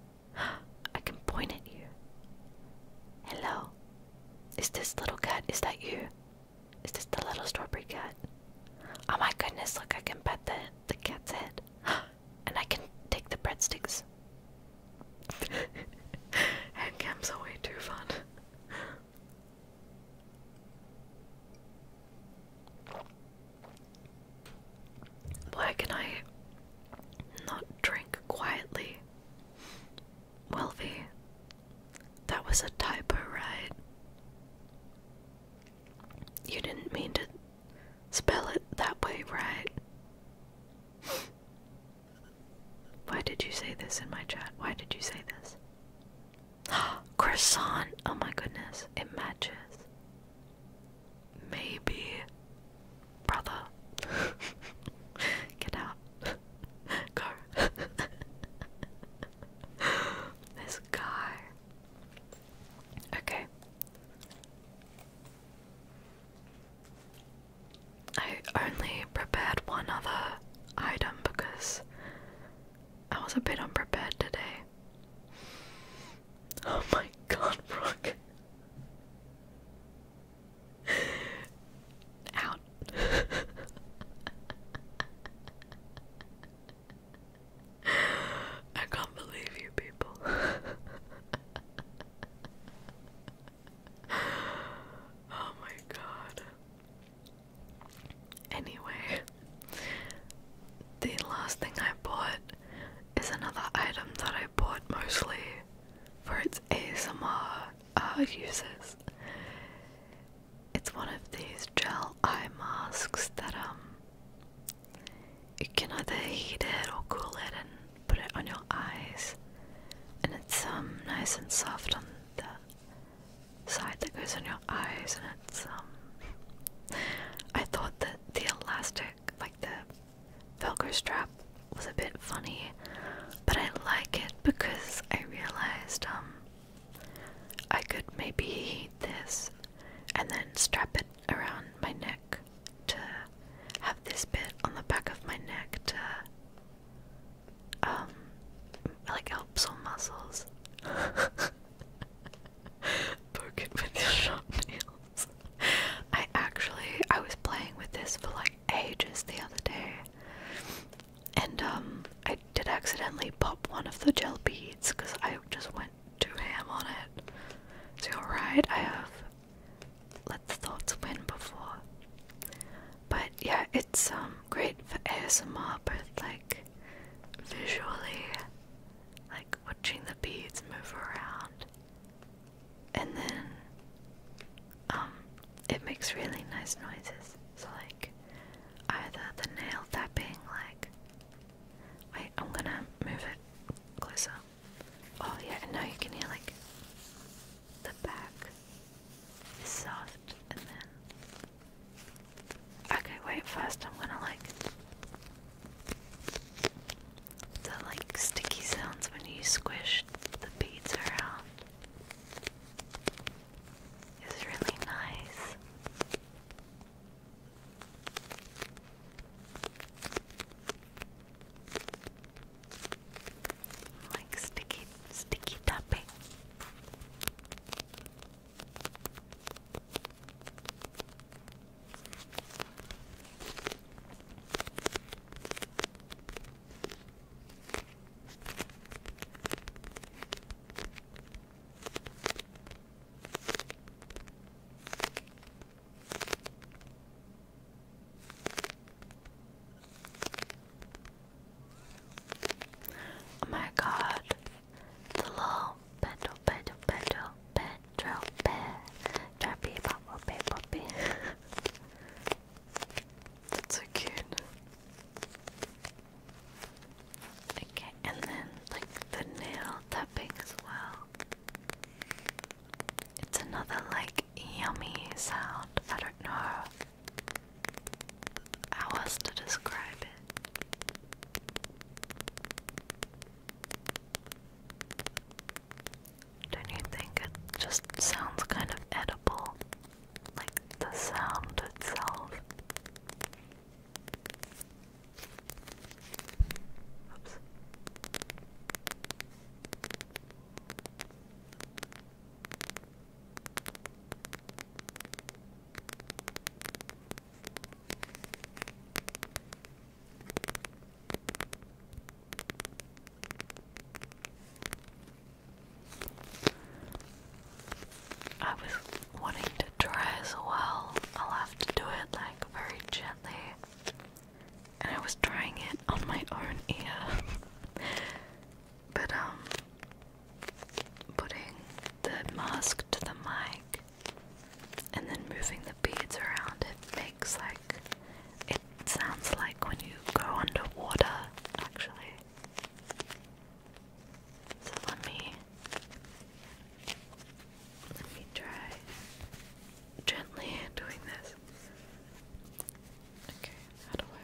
I can point at you. Hello. Is this little cat? Is that you? Is this the little strawberry cat? Oh my goodness, look, I can pet the, the cat's head. and I can take the breadsticks. Handcams are way too fun. Why can I not drink quietly? Welvy, that was a typo, right? You didn't mean to spell it that way, right? Why did you say this in my chat? Why did you say this? Croissant! Oh my goodness, it matches. Maybe. Brother. Get out. Go. this guy. Okay. I only prepared one other item because I was a bit unprepared today. Oh my god, Brooke. Out. I can't believe you people. oh my god. Anyway, the last thing I bought is another item that I bought mostly for its ASMR uh, uses. It's one of these gel eye masks that um you can either heat it or cool it and put it on your eyes, and it's um nice and soft on the side that goes on your eyes, and it's um. I thought that the elastic, like the Velcro strap, was a bit funny, but I like it because I realized um. I could maybe heat this, and then strap it around my neck to have this bit on the back of my neck to um, like helps on muscles. Poke it I actually, I was playing with this for like ages the other day, and um, I did accidentally pop one of the gel beads because I just went too ham on it. So alright, I have let the thoughts win before. But yeah, it's um great for ASMR, but like visually, like watching the beads move around, and then um it makes really nice noises. So like either the nail tapping, like wait, I'm gonna move it closer. Oh yeah, and now you can hear like the back is soft and then okay wait first I'm gonna like the like sticky sounds when you squish the beads around is really nice like sticky, sticky tapping. Oh my god. The little pedal, pedal, pedal, pedal, pedal, pedal, poppy, poppy. That's so cute. Okay, and then like the nail tapping as well. It's another like yummy sound. I don't know how else to describe it? Don't you think it just sounds kind of edible? Like the sound itself. I was wanting to try as well. I'll have to do it like very gently. And I was trying it on my own ear. But, um, putting the mask to the mic and then moving the beads around, it makes like it sounds like when you go underwater, actually. So let me let me try gently doing this. Okay, how do I?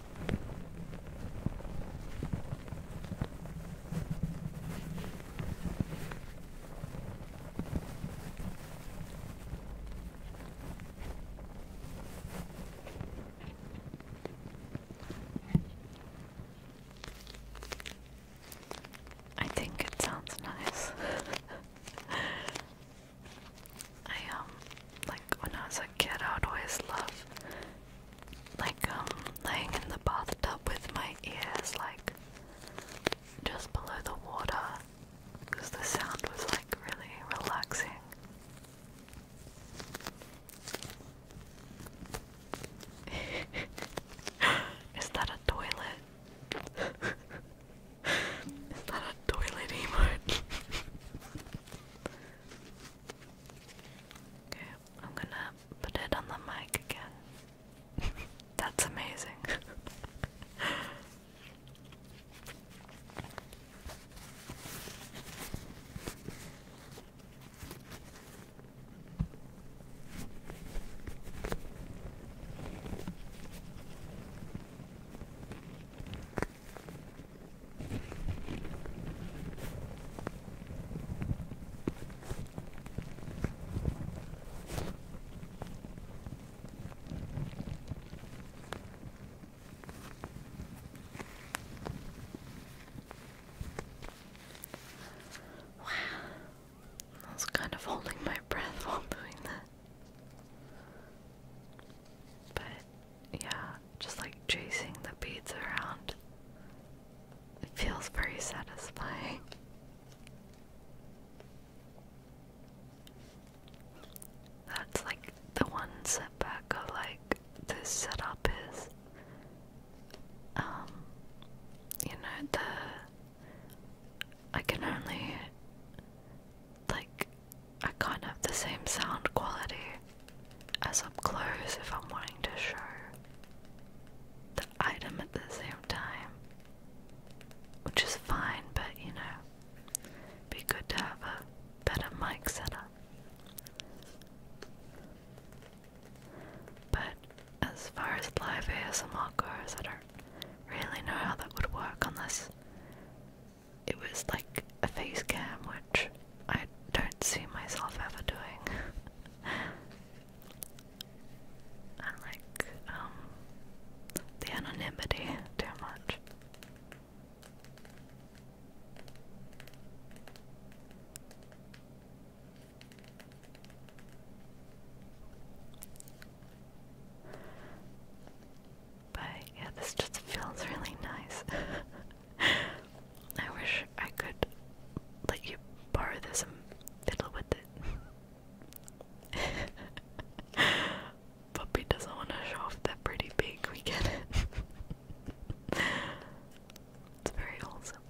I think it sounds nice. I um like when I was a kid I would always love like um laying in the bathtub with my ears like just below the water because the sound was like really relaxing. Is that a toilet? Is that a toilet emote? Okay, I'm gonna put it on the mic again. That's amazing. Wow. I was kind of holding my breath while doing that. But yeah, just like chasing the beads around. It feels very satisfying. That's like the one setback of like this setup is um you know the I can only like I can't have the same sound quality as up close if I'm wanting to show the item at the same time. Which is fine, but you know, be good to have a better mic setup. But as far as live ASMR goes, I don't really know how that would work unless it was like a face cam, which I don't see myself ever doing. I like um, the anonymity too much. But yeah, this just feels really nice. I wish I could let you borrow this and fiddle with it. Puppy doesn't want to show off that pretty pink we get it. it's very wholesome.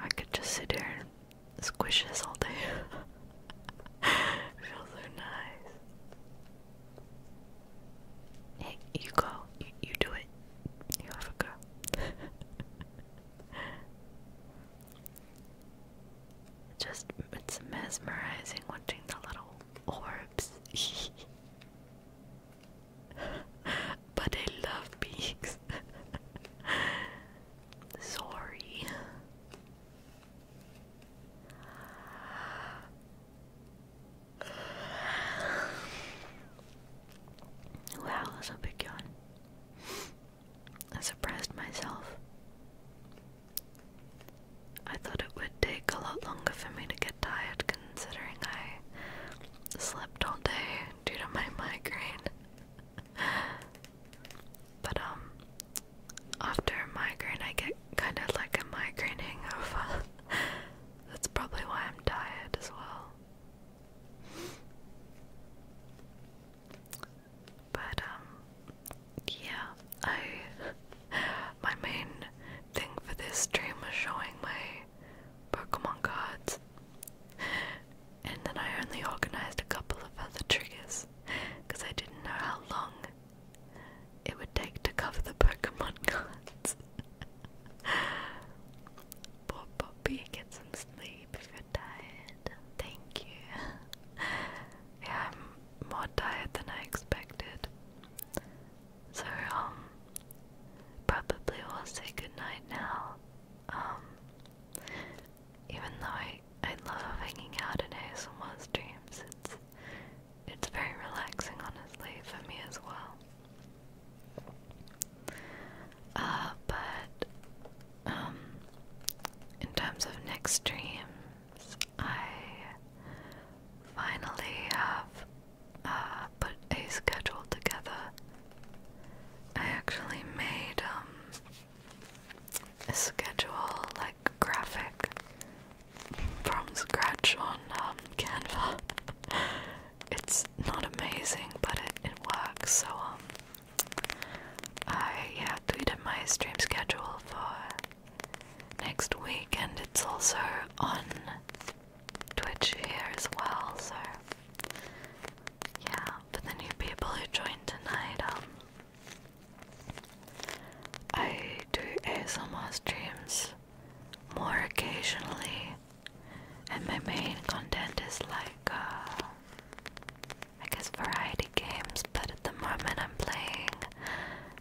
I could just sit here squishes all day. feels so nice. you go. You, do it. You have a go. Just, it's mesmerizing watching the little orbs. but I love beaks. Sorry. Wow, that's big yawn. I surprised myself. I thought it would take a lot longer for me to get tired considering I slept all day due to my migraine. but um after a migraine I get kind of like a migraine hangover. That's probably why I'm tired as well. But um yeah, I my main thing for this stream was showing my Pokemon cards and then I only organized a couple of other triggers because I didn't know how long it would take to cover the Pokemon cards. Poor Poppy, get some sleep if you're tired. Thank you. Yeah, I'm more tired than I expected. So, um, probably will say goodnight now. Um, even though I, I love hanging out in ASMR's dreams, it's, it's very relaxing, honestly, for me as well. Uh, but, um, in terms of next dreams, I finally have uh, put a schedule together. I actually made um, schedule like graphic from scratch on um, Canva. it's not amazing, but it, it works. So um, I yeah tweeted my stream schedule for next week, and it's also on Twitch here as well. So yeah, for the new people who joined tonight, um, I do ASMR streams more occasionally, and my main content is like, uh, I guess variety games, but at the moment I'm playing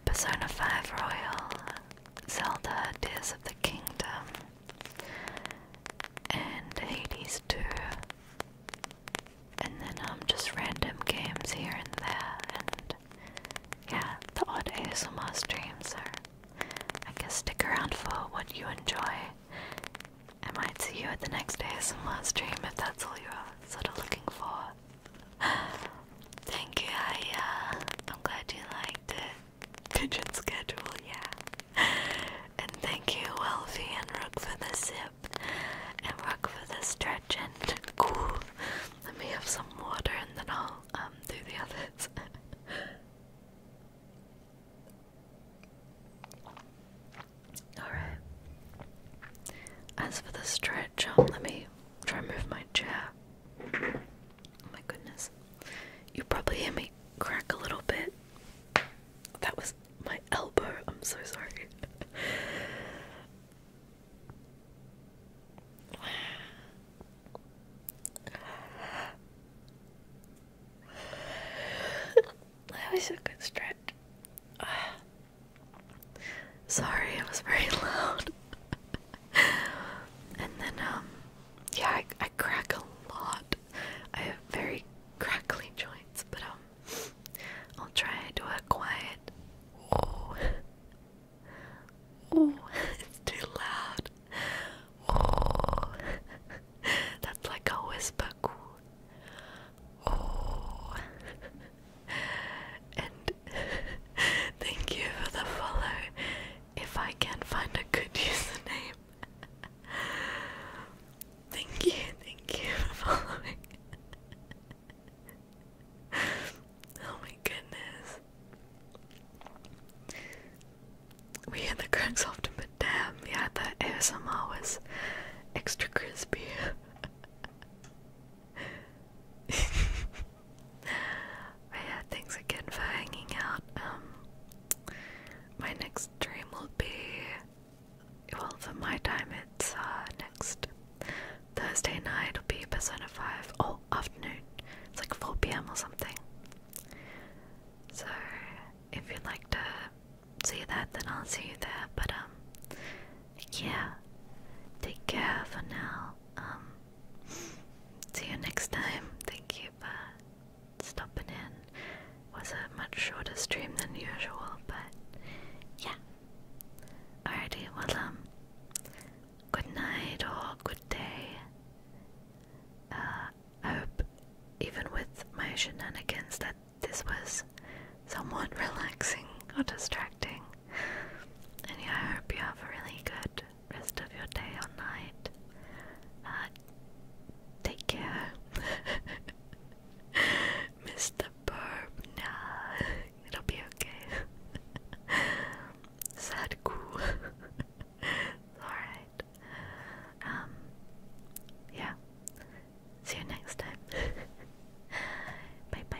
Persona 5 Royal, Zelda Tears of the Kingdom, and Hades 2 and then um just random games here and there and yeah, the odd ASMR streams are I guess stick around for what you enjoy. I might see you at the next ASMR stream if that's all you're sort of looking for. Thank you, I uh I'm glad you liked it. Pigeon schedule, yeah. and thank you, Elfie and Rook, for the zip and Rook for the stretch. And cool. Let me have some water, and then I'll um, do the others. Alright. As for the stretch, um, let me try and move my chair. Oh my goodness. You probably hear me crack a little bit. That was my elbow. I'm so sorry. that was a good stretch. sorry, it was very loud. and then, um, yeah, I crack a lot. I have very crackly joints, but um, I'll try to do a quiet. Oh, oh, it's too loud. Oh, that's like a whisper. Oh, and thank you for the follow. If I can find a good username, thank you, thank you for following. oh my goodness. We had the cranks often, but damn, yeah, that ASMR was extra crispy. yeah, thanks again for hanging out. Um, my next stream will be well, for my time, it's uh, next Thursday night. It'll be Persona 5, oh, afternoon. It's like 4 pm or something. So, if you'd like to see that, then I'll see you there. But, um, yeah, take care for now. Um, see you next time. Thank you. Bye stopping in was a much shorter stream than usual, but yeah. Alrighty, well, um, good night or good day. Uh, hope, even with my shenanigans, that this was somewhat relaxing or distracting. And yeah, I hope you have a really good rest of your day or night. Uh, take care. Mr. Burp, nah, it'll be okay. Sad Alright. Um, yeah. See you next time. bye bye.